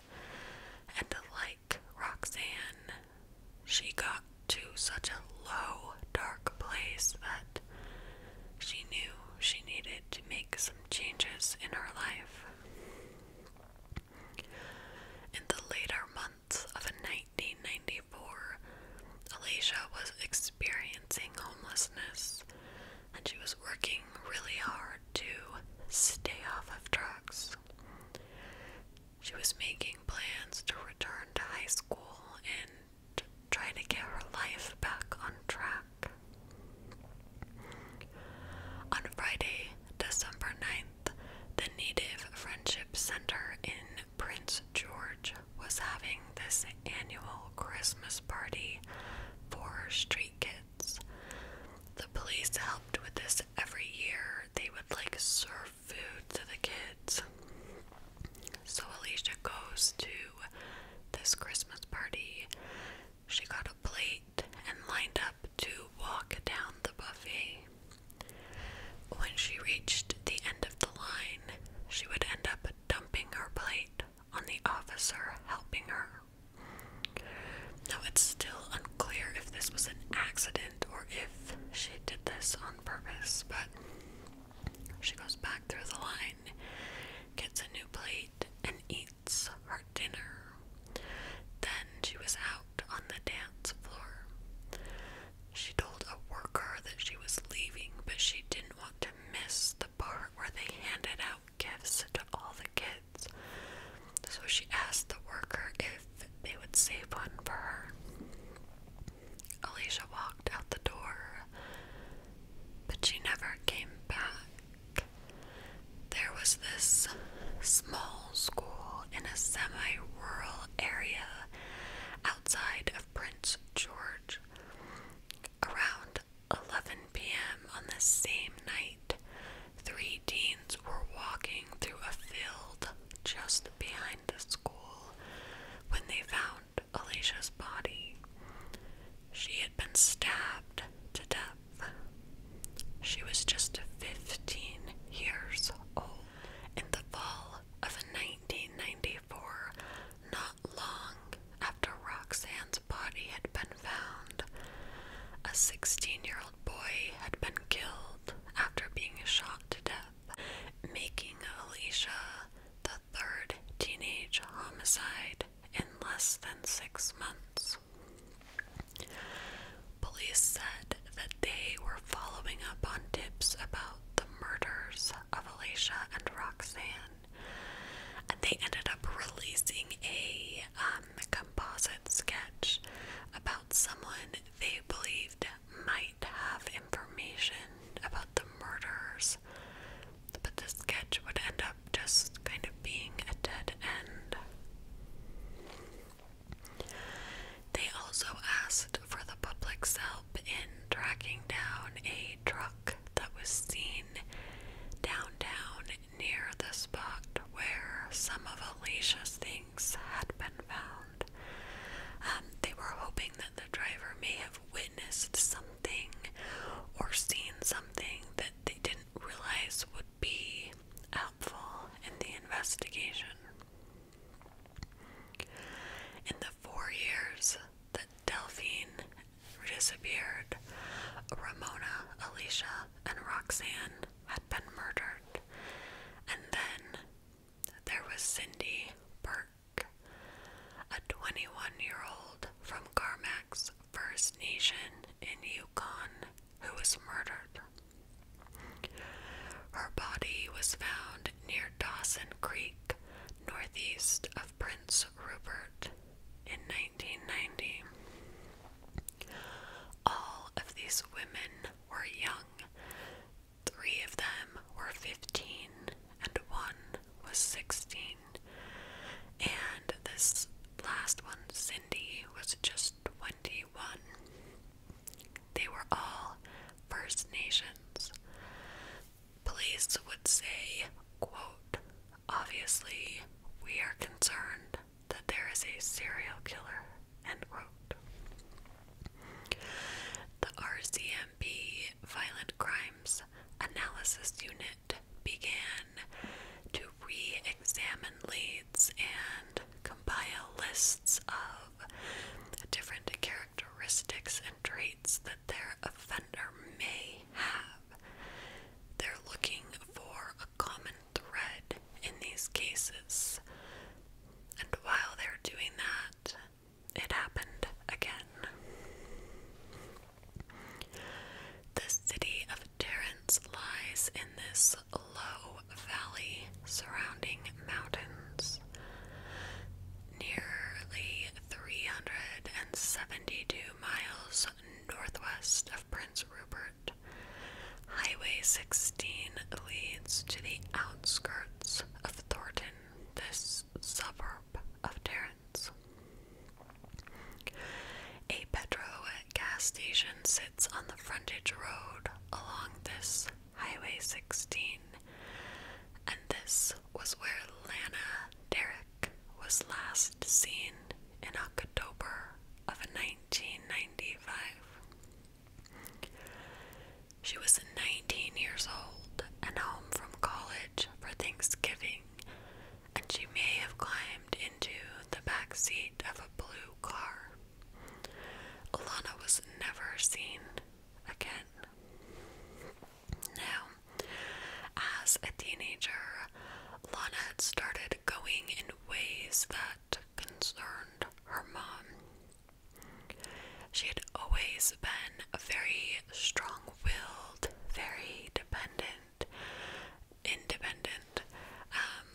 And like Roxanne, she got to such a low, dark place that she knew she needed to make some changes in her life. In the later months of 1994, Alicia was experiencing homelessness and she was working really hard to stay off of drugs. She was making plans to return to high school and try to get her life back on track. On Friday, December 9th, the Native Friendship Center in Prince George was having this annual Christmas party for street kids. The police helped with this every year. They would like serve food to the kids. So Alicia goes to this Christmas party. She got a plate and lined up to walk down the buffet. When she reached the end of the line, she would end up dumping her plate on the officer helping her. Now, it's still unclear if this was an accident or if she did this on purpose, but she goes back through the line, gets a new plate, and eats minutes dinner. Then she was out on the dance floor. She told a worker that she was leaving, but she didn't want to miss the part where they handed out gifts to all the kids. So she asked the worker if they would save one for her. Alicia walked out the door, but she never came back. There was this small school in a semi rural area outside of Prince George. Around 11 p.m. on the same night, three teens were walking through a field just behind the school when they found Alicia's body. She had been stabbed to death. She was just 15 years old. In the fall of 1994, not long after Roxanne's body had been found, a 16 year old boy had been killed after being shot to death, making Alicia the third teenage homicide in less than six months. Police said that they were following up on tips about the murders of Alicia and Roxanne, and they ended up releasing a um, composite sketch about someone they believed might have information about the murders, but the sketch would end up just kind of being a dead end. They also asked for the public's help in tracking down a truck that was seen downtown near the spot where some of Alicia's things had been found. Um, they were hoping that the driver may have witnessed something or seen something that they didn't realize would be helpful in the investigation. In the four years that Delphine disappeared, Ramona, Alicia, and Roxanne had been murdered, and then there was Cindy Burke, a 21 year old from Carmack's First Nation in Yukon, who was murdered. Her body was found near Dawson Creek, northeast of Prince Rupert, in 1990. All of these women were young. Three of them were 15, and one was 16. And this last one, Cindy, was just 21. They were all First Nations. Police would say, quote, obviously, we are concerned that there is a serial killer, end quote. The RCMP Violent Crimes Analysis Unit began to re examine leads and compile lists of different characteristics and traits that their offender may have. They're looking for a common thread in these cases. And while they're doing that, it happened again. The city of Terence lies in this low valley surrounding mountains. Nearly 372 miles northwest of Prince Rupert, Highway 16 leads to the outskirts of Thornton, this suburb of Terrence. A petrol gas station sits on the frontage road along this Highway 16, and this was where Lana Derrick was last seen in October of 1995. She was 19 years old and home from college for Thanksgiving, and she may have climbed into the back seat of a blue car. Lana was never seen again. Now, as a teenager, Lana had started going in ways that concerned her mom. She had always been very strong willed, very dependent, independent, um,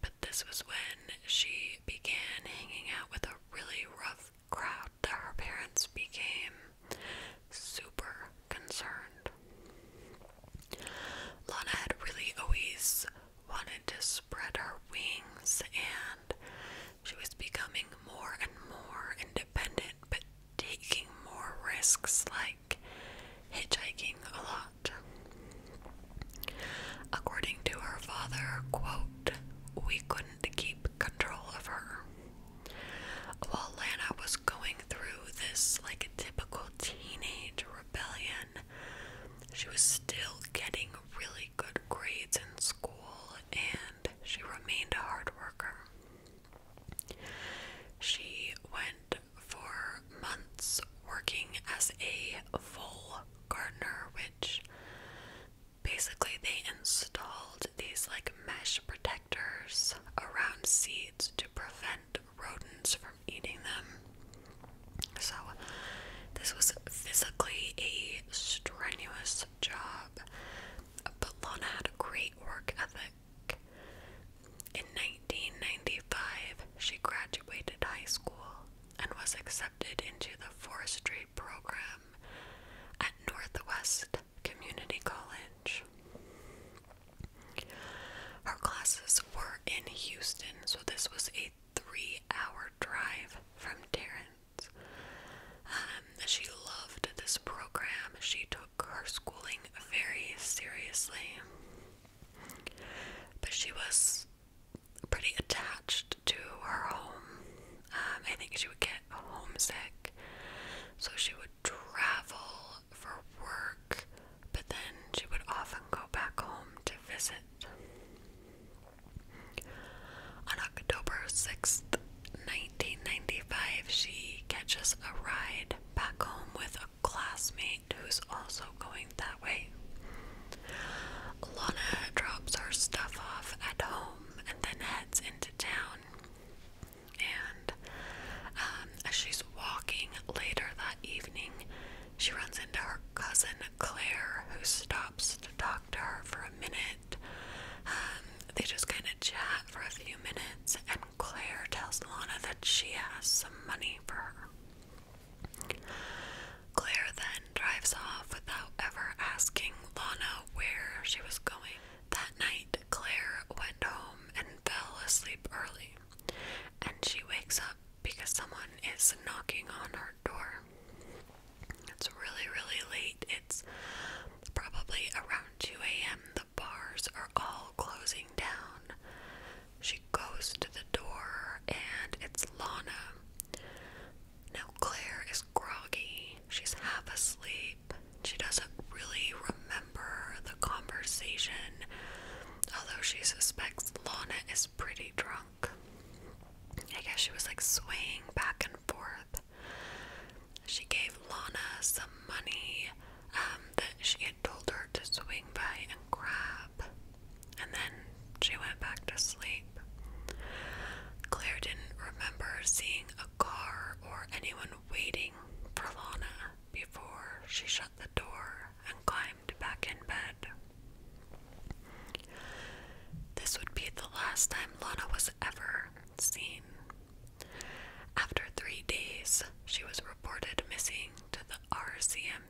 but this was when she began hanging out with a really rough crowd that her parents became super concerned. Lana had really always wanted to spread her wings and she was becoming more and more independent but taking more risks like hitchhiking a lot. According to her father, quote, we couldn't keep control of her. While Lana was going through this like a typical teenage rebellion, she was still getting really good grades in school and she remained a hard worker. She went for months working as a full gardener, which basically they installed these like mesh protectors around seeds to prevent rodents from eating them. So this was physically a strenuous job, but Lana had a great work ethic. In 1895, she graduated high school and was accepted into the forestry program at Northwest Community College. Her classes were in Houston, so this was a three hour drive from Terrence. Um, she loved this program. She took her schooling very seriously. But she was pretty attached to her home. Um, I think she would get homesick, so she would travel for work, but then she would often go back home to visit. On October 6th, 1995, she catches a ride back home with classmate who's also going that way. Lana drops her stuff off at home and then heads into town. And um, as she's walking later that evening, she runs into her cousin Claire, who stops to talk to her for a minute. Um, they just kind of chat for a few minutes, and Claire tells Lana that she has some money for her. Claire then drives off without ever asking Lana where she was going. That night, Claire went home and fell asleep early, and she wakes up because someone is knocking on her door. It's really, really late. It's probably around 2 a.m. The bars are all closing down. She goes to the door and it's Lana. Now, Claire is groggy. She's half asleep. She doesn't really remember the conversation, although she suspects Lana is pretty drunk. I guess she was like swaying back and forth. She gave Lana some money um, that she had told her to swing by and grab and then she went back to sleep. Claire didn't remember seeing a car or anyone waiting for Lana before she shut the door and climbed back in bed. This would be the last time Lana was ever seen. After three days, she was reported missing to the RCMP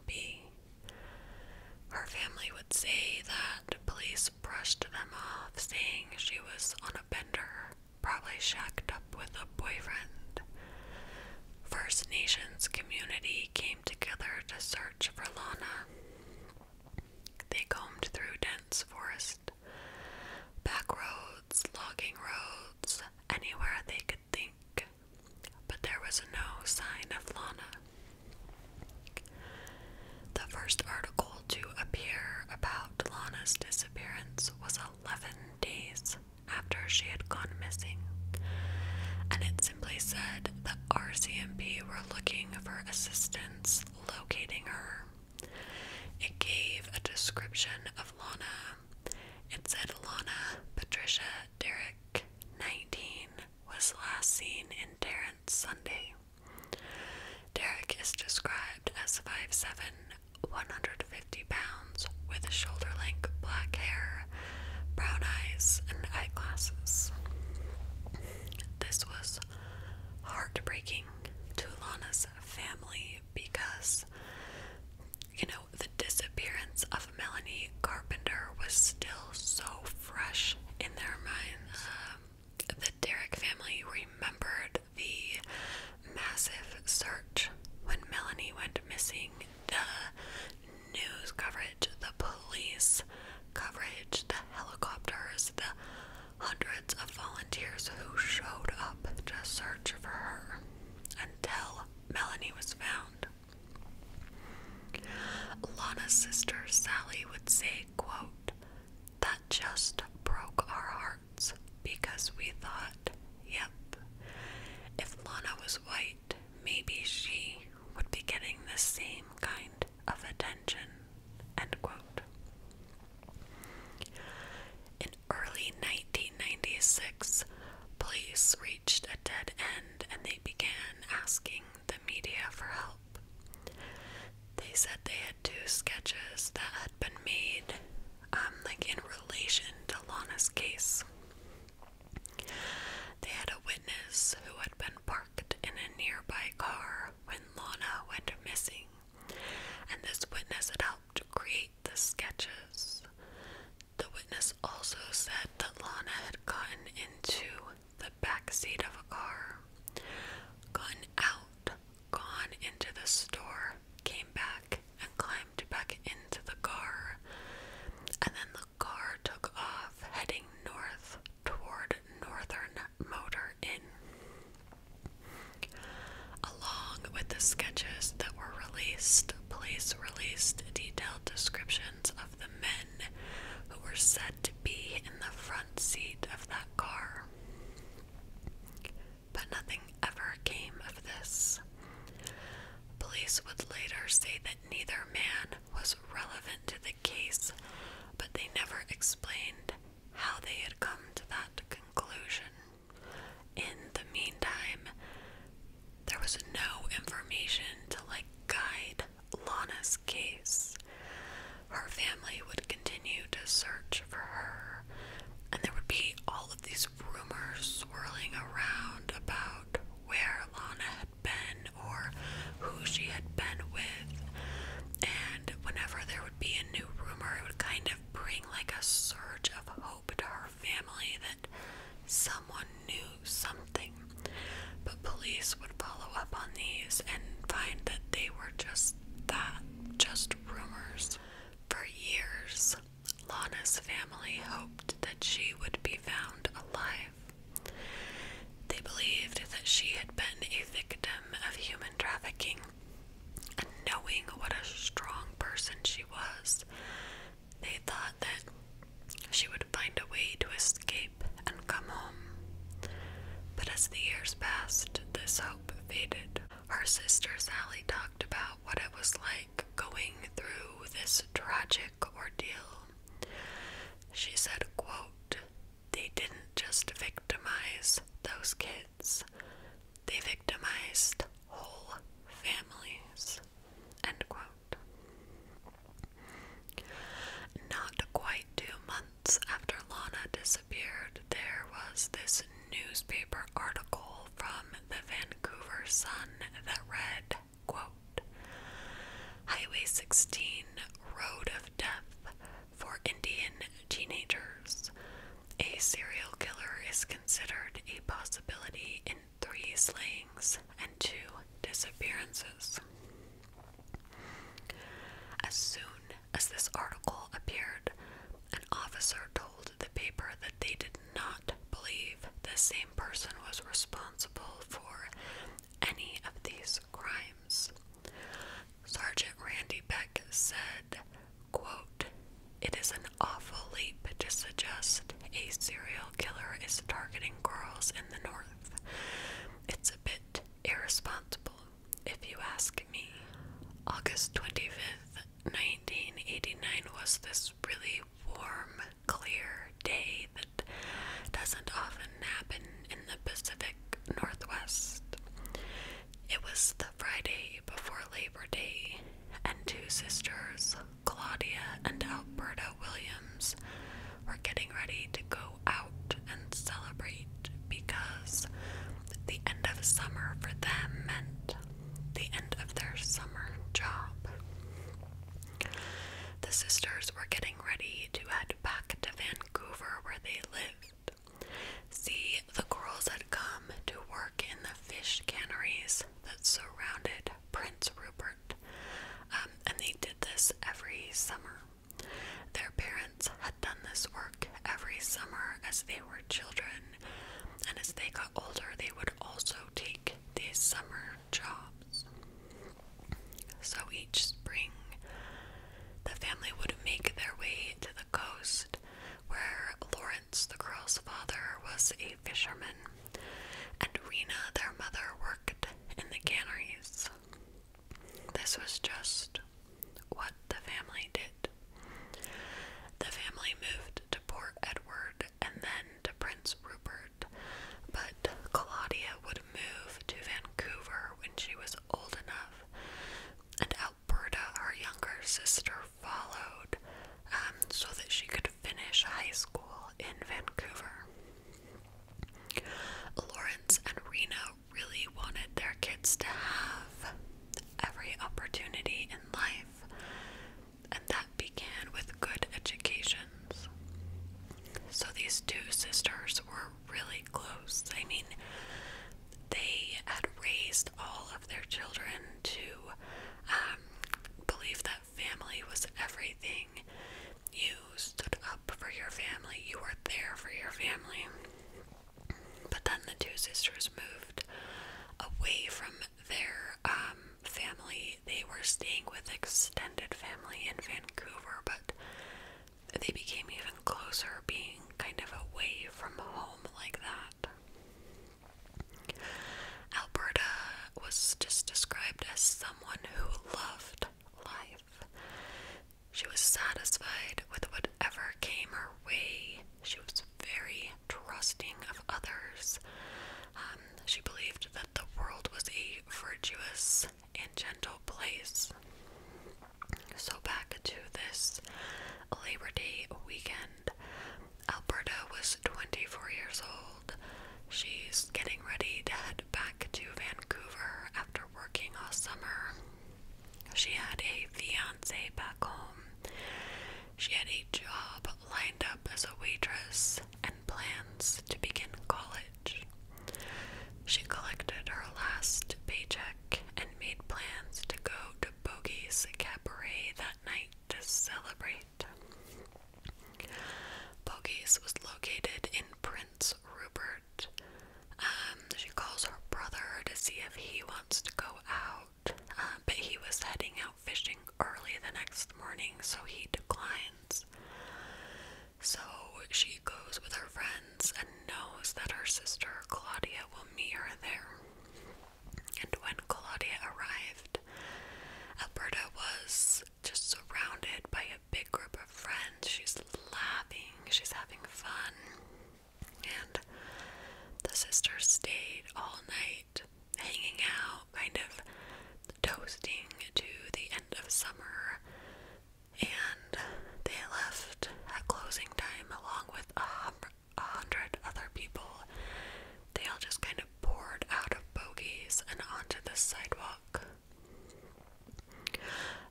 her family would say that police brushed them off, saying she was on a bender, probably shacked up with a boyfriend. First Nations community came together to search for Lana. They combed through dense forest, back roads, logging roads, anywhere they could think, but there was no sign of Lana. The first article to appear about Lana's disappearance was 11 days after she had gone missing, and it simply said that RCMP were looking for assistance locating her. It gave a description of Lana. It said Lana Patricia Derrick 19, was last seen in Terrence Sunday. Derek is described as 5'7, 150 pounds, with shoulder length black hair, brown eyes, and eyeglasses. This was heartbreaking to Lana's family because, you know, the disappearance of Melanie Carpenter was still so fresh in their minds. Um, the Derrick family remembered the massive search when Melanie went missing, the news coverage, the police coverage, the helicopters, the hundreds of volunteers who showed up to search for her until Melanie was found. Lana's sister Sally would say, quote, that just broke our hearts because we thought, yep, if Lana was white, maybe she would be getting the same kind of attention, In early 1996, police reached a dead end and they began asking the media for help. They said they had two sketches that had been made, um, like in relation to Lana's case. They had a witness who had been parked in a nearby car when Lana went missing, and this witness had helped create the sketches. The witness also said that Lana had gotten into the back seat of a car, gotten out, gone into the store, came back, and climbed back into the car. And then the car took off, heading north toward Northern Motor Inn. Along with the sketches that were released, police released detailed descriptions of the men who were said to be in the front seat of that car. But nothing ever came of this. Police would later say that neither man was relevant to the case, but they never explained how they had come to that conclusion. In the meantime, there was no information to like guide Lana's case. Her family would continue to search for her, and there would be all of these rumors swirling around about where Lana had been or who she had been with. And whenever there would be a new rumor, it would kind of bring like a surge of hope to her family that someone knew something. But police would follow up on these and find that they were just that, just rumors. For years, Lana's family hoped that she would be found alive. They believed that she had been a victim of human trafficking, and knowing what a strong person she was, they thought that she would find a way to escape and come home. But as the years passed, this hope faded. Her sister Sally talked about what it was like going through this tragic ordeal. She said, quote, they didn't just victimize those kids. They victimized whole families. End quote. Not quite two months after Lana disappeared, there was this newspaper article from the Vancouver Sun that read, quote, Highway 16, Road of Death for Indian Teenagers. A serial killer is considered a possibility in three slayings, and two disappearances. As soon as this article appeared, an officer told the paper that they did not believe the same person was responsible for any of these crimes. Sergeant Randy Beck said, quote, It is an awful leap to suggest a serial killer is targeting girls in the north. It's a bit irresponsible, if you ask me. August 25th, 1989 was this really warm, clear day that doesn't often happen in the Pacific Northwest. It was the Friday before Labor Day, and two sisters, Claudia and Alberta Williams were getting ready to go out and celebrate because the end of summer for them meant the end of their summer job. The sisters were getting ready to head back to Vancouver where they lived. See, the girls had come to work in the fish canneries that surrounded Prince Rupert learned. Um, and they did this every summer. Their parents had done this work every summer as they were children, and as they got older, they would also take these summer jobs. So each spring, the family would make their way to the coast where Lawrence, the girl's father, was a fisherman and Rena, their mother, worked in the canneries. This was just what the family did. The family moved to Port Edward and then to Prince Rupert, but Claudia would move to Vancouver when she was old enough, and Alberta, her younger sister, followed um, so that she could finish high school in Vancouver. Lawrence and Rena really wanted their kids to have every opportunity in life, and that began with good educations. So these two sisters were really close. I mean, they had raised all of their children to um, believe that Family was everything. You stood up for your family, you were there for your family. But then the two sisters moved away from their um, family. They were staying with extended family in Vancouver, but they became even closer, being kind of away from home like that. Alberta was just described as someone who loved life. She was satisfied with whatever came her way. She was very trusting of others. Um, she believed that the world was a virtuous and gentle place. So, back to this Labor Day weekend. Alberta was 24 years old. She's getting ready to head back to Vancouver after working all summer. She had a fiance back home. She had a job lined up as a waitress and plans to begin college. She collected her last paycheck and made plans to go to Bogey's Cabaret that night to celebrate site. was located in Prince Rupert. Um, she calls her brother to see if he wants to go out, um, but he was heading out fishing early the next morning, so he declines. So she goes with her friends and knows that her sister Claudia will meet her there. And when Claudia arrived, Alberta was she's just surrounded by a big group of friends. She's laughing, she's having fun. And the sisters stayed all night hanging out, kind of toasting to the end of summer. And they left at closing time along with a hundred other people. They all just kind of poured out of bogies and onto the sidewalk.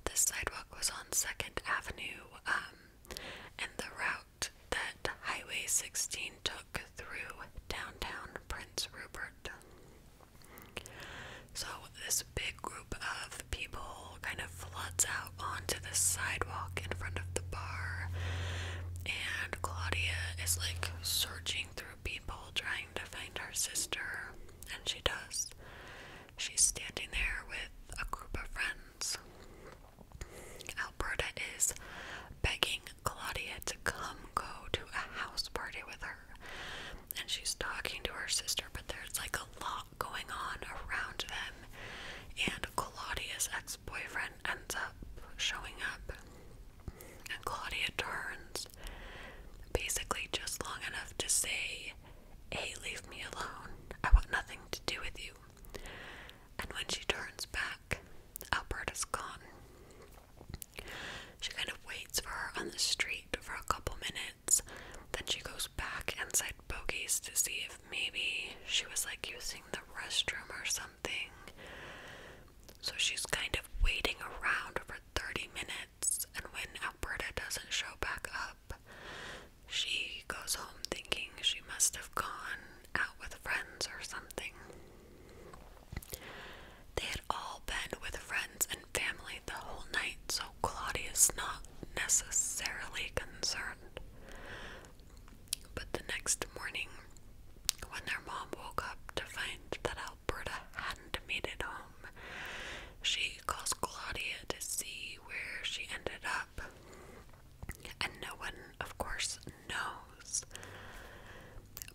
The sidewalk was on 2nd Avenue, um, and the route that Highway 16 took through downtown Prince Rupert. So, this big group of people kind of floods out onto the sidewalk in front of the bar, and Claudia is like searching through people trying to find her sister, and she does. She's standing there with a group of friends. Alberta is begging Claudia to come go to a house party with her. And she's talking to her sister, but there's like a lot going on around them. And Claudia's ex boyfriend ends up showing up and Claudia turns, basically just long enough to say, Hey, leave me alone. I want nothing to do with you. And when she turns back, Alberta's gone. She kind of waits for her on the street for a couple minutes. Then she goes back inside Bogey's to see if maybe she was like using the restroom or something. So she's kind of waiting around for 30 minutes, and when Alberta doesn't show back up, she goes home thinking she must have gone out with friends or something. They had all been with friends and family the whole night, so Claudia is not necessarily concerned. But the next morning, when their mom woke up to find that Alberta. Alberta hadn't made it home. She calls Claudia to see where she ended up. And no one, of course, knows.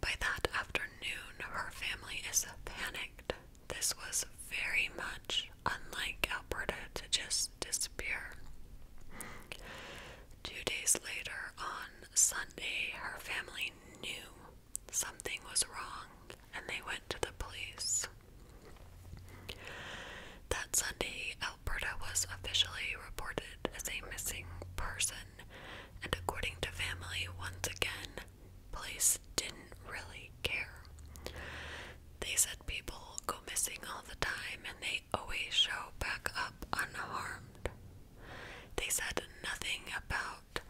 By that afternoon, her family is panicked. This was very much unlike Alberta to just disappear. Two days later, on Sunday, her family knew something was wrong and they went to the police. That Sunday, Alberta was officially reported as a missing person, and according to family, once again, police didn't really care. They said people go missing all the time and they always show back up unharmed. They said nothing about out.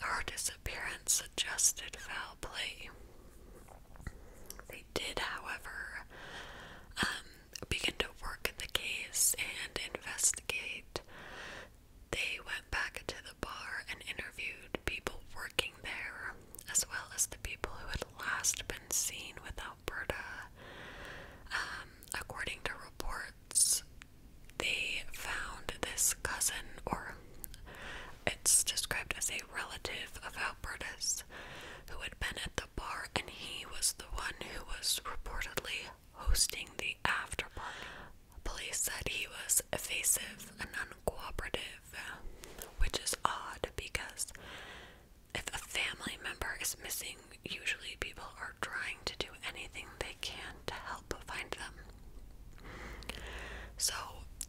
Her disappearance suggested foul play. They did, however, um, begin to work at the case and investigate. They went back to the bar and interviewed people working there, as well as the people who had last been seen with Alberta. Um, according to reports, they found this cousin, or it's described as a relative of Albertus, who had been at the bar, and he was the one who was reportedly hosting the afterparty. Police said he was evasive and uncooperative, which is odd because if a family member is missing, usually people are trying to do anything they can to help find them. So,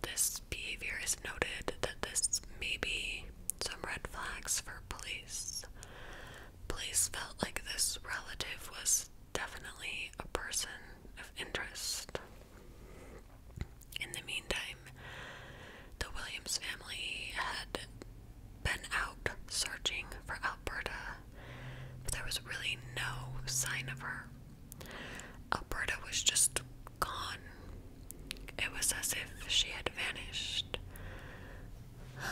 this behavior is noted that this may be some red flags for police. Police felt like this relative was definitely a person of interest. In the meantime, the Williams family had been out searching for Alberta but there was really no sign of her. Alberta was just gone. It was as if she had vanished, um,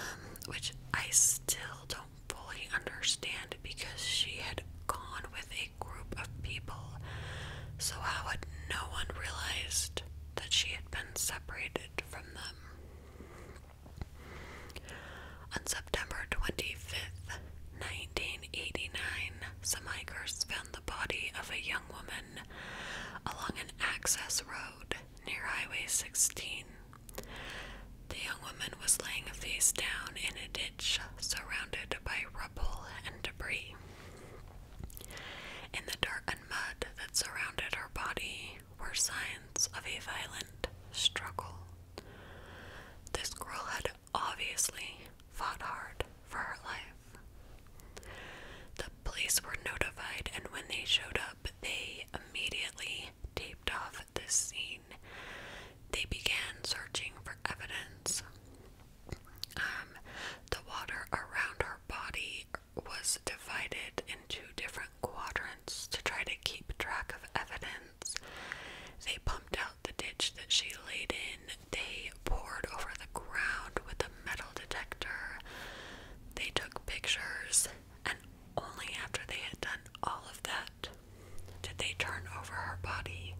which I still don't fully understand because she had gone with a group of people. So, how had no one realized that she had been separated from them? On September 25th, 1989, some hikers found the body of a young woman along an access road near Highway 16. The young woman was laying face down in a ditch surrounded by rubble and debris. In the dirt and mud that surrounded her body were signs of a violent struggle. This girl had obviously fought hard for her life. The police were notified, and when they showed up, they immediately taped off this scene. They began searching for evidence. Um, the water around her body was divided into different quadrants to try to keep track of evidence. They pumped out the ditch that she laid in. They poured over the ground with a metal detector. They took pictures, and only after they had done all of that did they turn over her body.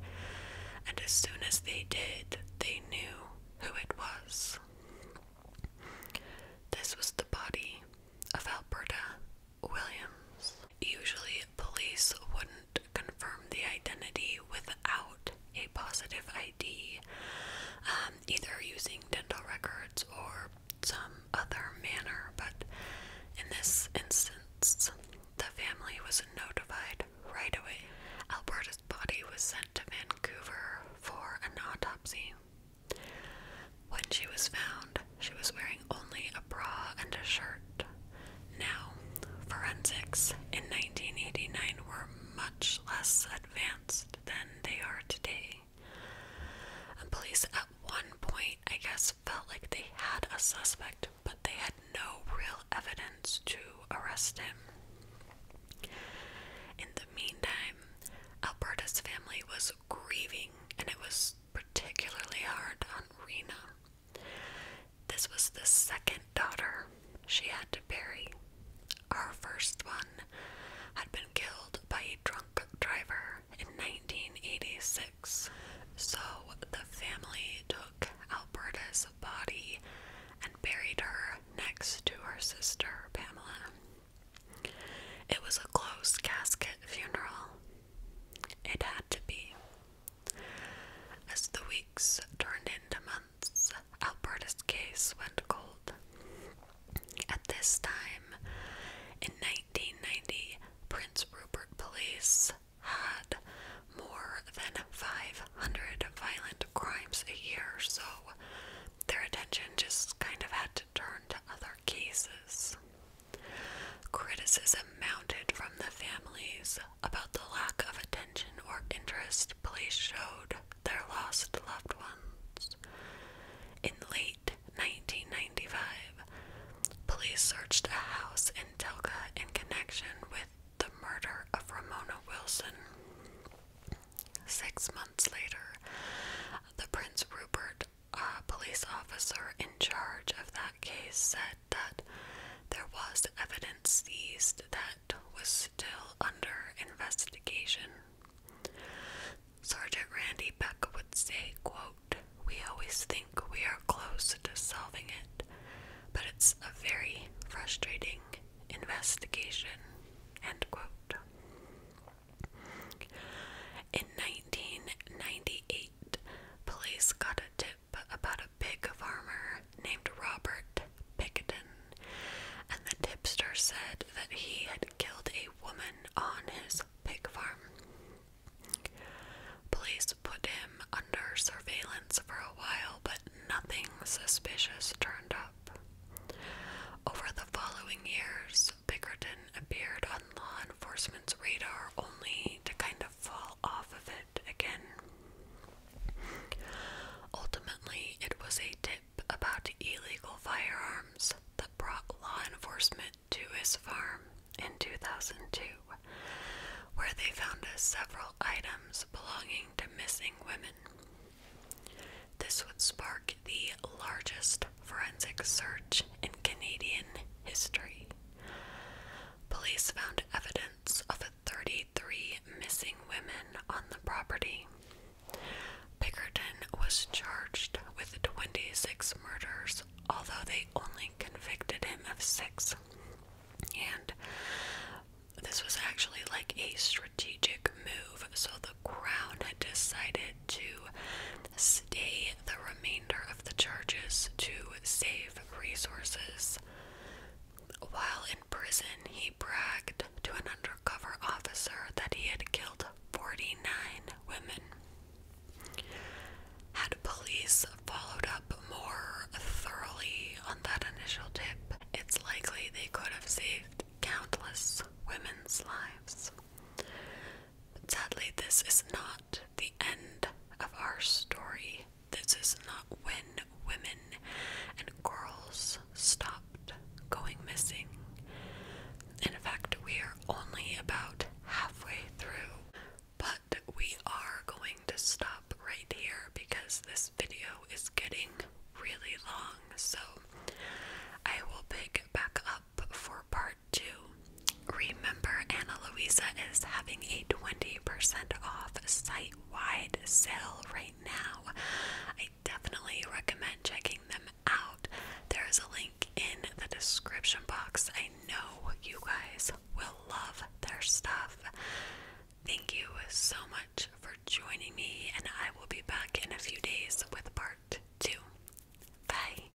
And as soon as they did, they knew who it was. This was the body of Alberta Williams. Usually, police wouldn't confirm the identity without a positive ID, um, either using dental records or some other manner, but in this instance, the family was notified right away. Alberta's body was sent to Vancouver for an autopsy. When she was found, she was wearing only a bra and a shirt. Now, forensics in 1989 were much less advanced than they are today. And police at one point, I guess, felt like they had a suspect, but they had no real evidence to arrest him. In the meantime, Alberta's family was grieving and it was particularly hard on Rena. This was the second daughter she had to bury. Our first one had been killed by a drunk driver in 1986, so the family took Alberta's body and buried her next to her sister Pamela. It was a closed casket funeral, it had to be. As the weeks turned into months, Alberta's case went cold. At this time, in 1990, Prince Rupert Police had more than 500 violent crimes a year, so their attention just kind of had to turn to other cases. Criticism mounted from the families about the lack of attention or interest police showed their lost loved ones. In late 1995, police searched a house in Telka in connection with the murder of Ramona Wilson. Six months later, the Prince Rupert a police officer in charge of that case said that there was evidence seized that was still under investigation. Sergeant Randy Beck would say, quote, We always think we are close to solving it, but it's a very frustrating investigation, end quote. In 1998, police got a tip about a pig farmer named Robert Pickerton, and the tipster said that he had killed a woman on his pig farm. Police put him under surveillance for a while, but nothing suspicious turned up. Over the following years, Bickerton appeared on law enforcement's radar only to kind of fall off of it again. Ultimately, it was a tip about illegal firearms that brought law enforcement to his farm in 2002, where they found several items belonging to missing women. This would spark the largest forensic search in Canadian history. Police found evidence of 33 missing women on the property. Pickerton was charged with 26 murders, although they only convicted him of six. And this was actually like a strategic move, so the Crown had decided to stay the remainder of the charges to save resources. While in prison, he bragged to an undercover officer that he had killed 49 women. Had police followed up more thoroughly on that initial tip, it's likely they could have saved countless women's lives. But sadly, this is not the end of our story. This is not when women and girls stopped going missing. In fact, we are only about halfway through, but we are going to stop right here because this video is getting really long. So I will pick it back up for part to Remember, Ana Luisa is having a 20% off site wide sale right now. I definitely recommend checking them out. There is a link in the description box. I know you guys will love their stuff. Thank you so much for joining me, and I will be back in a few days with part two. Bye.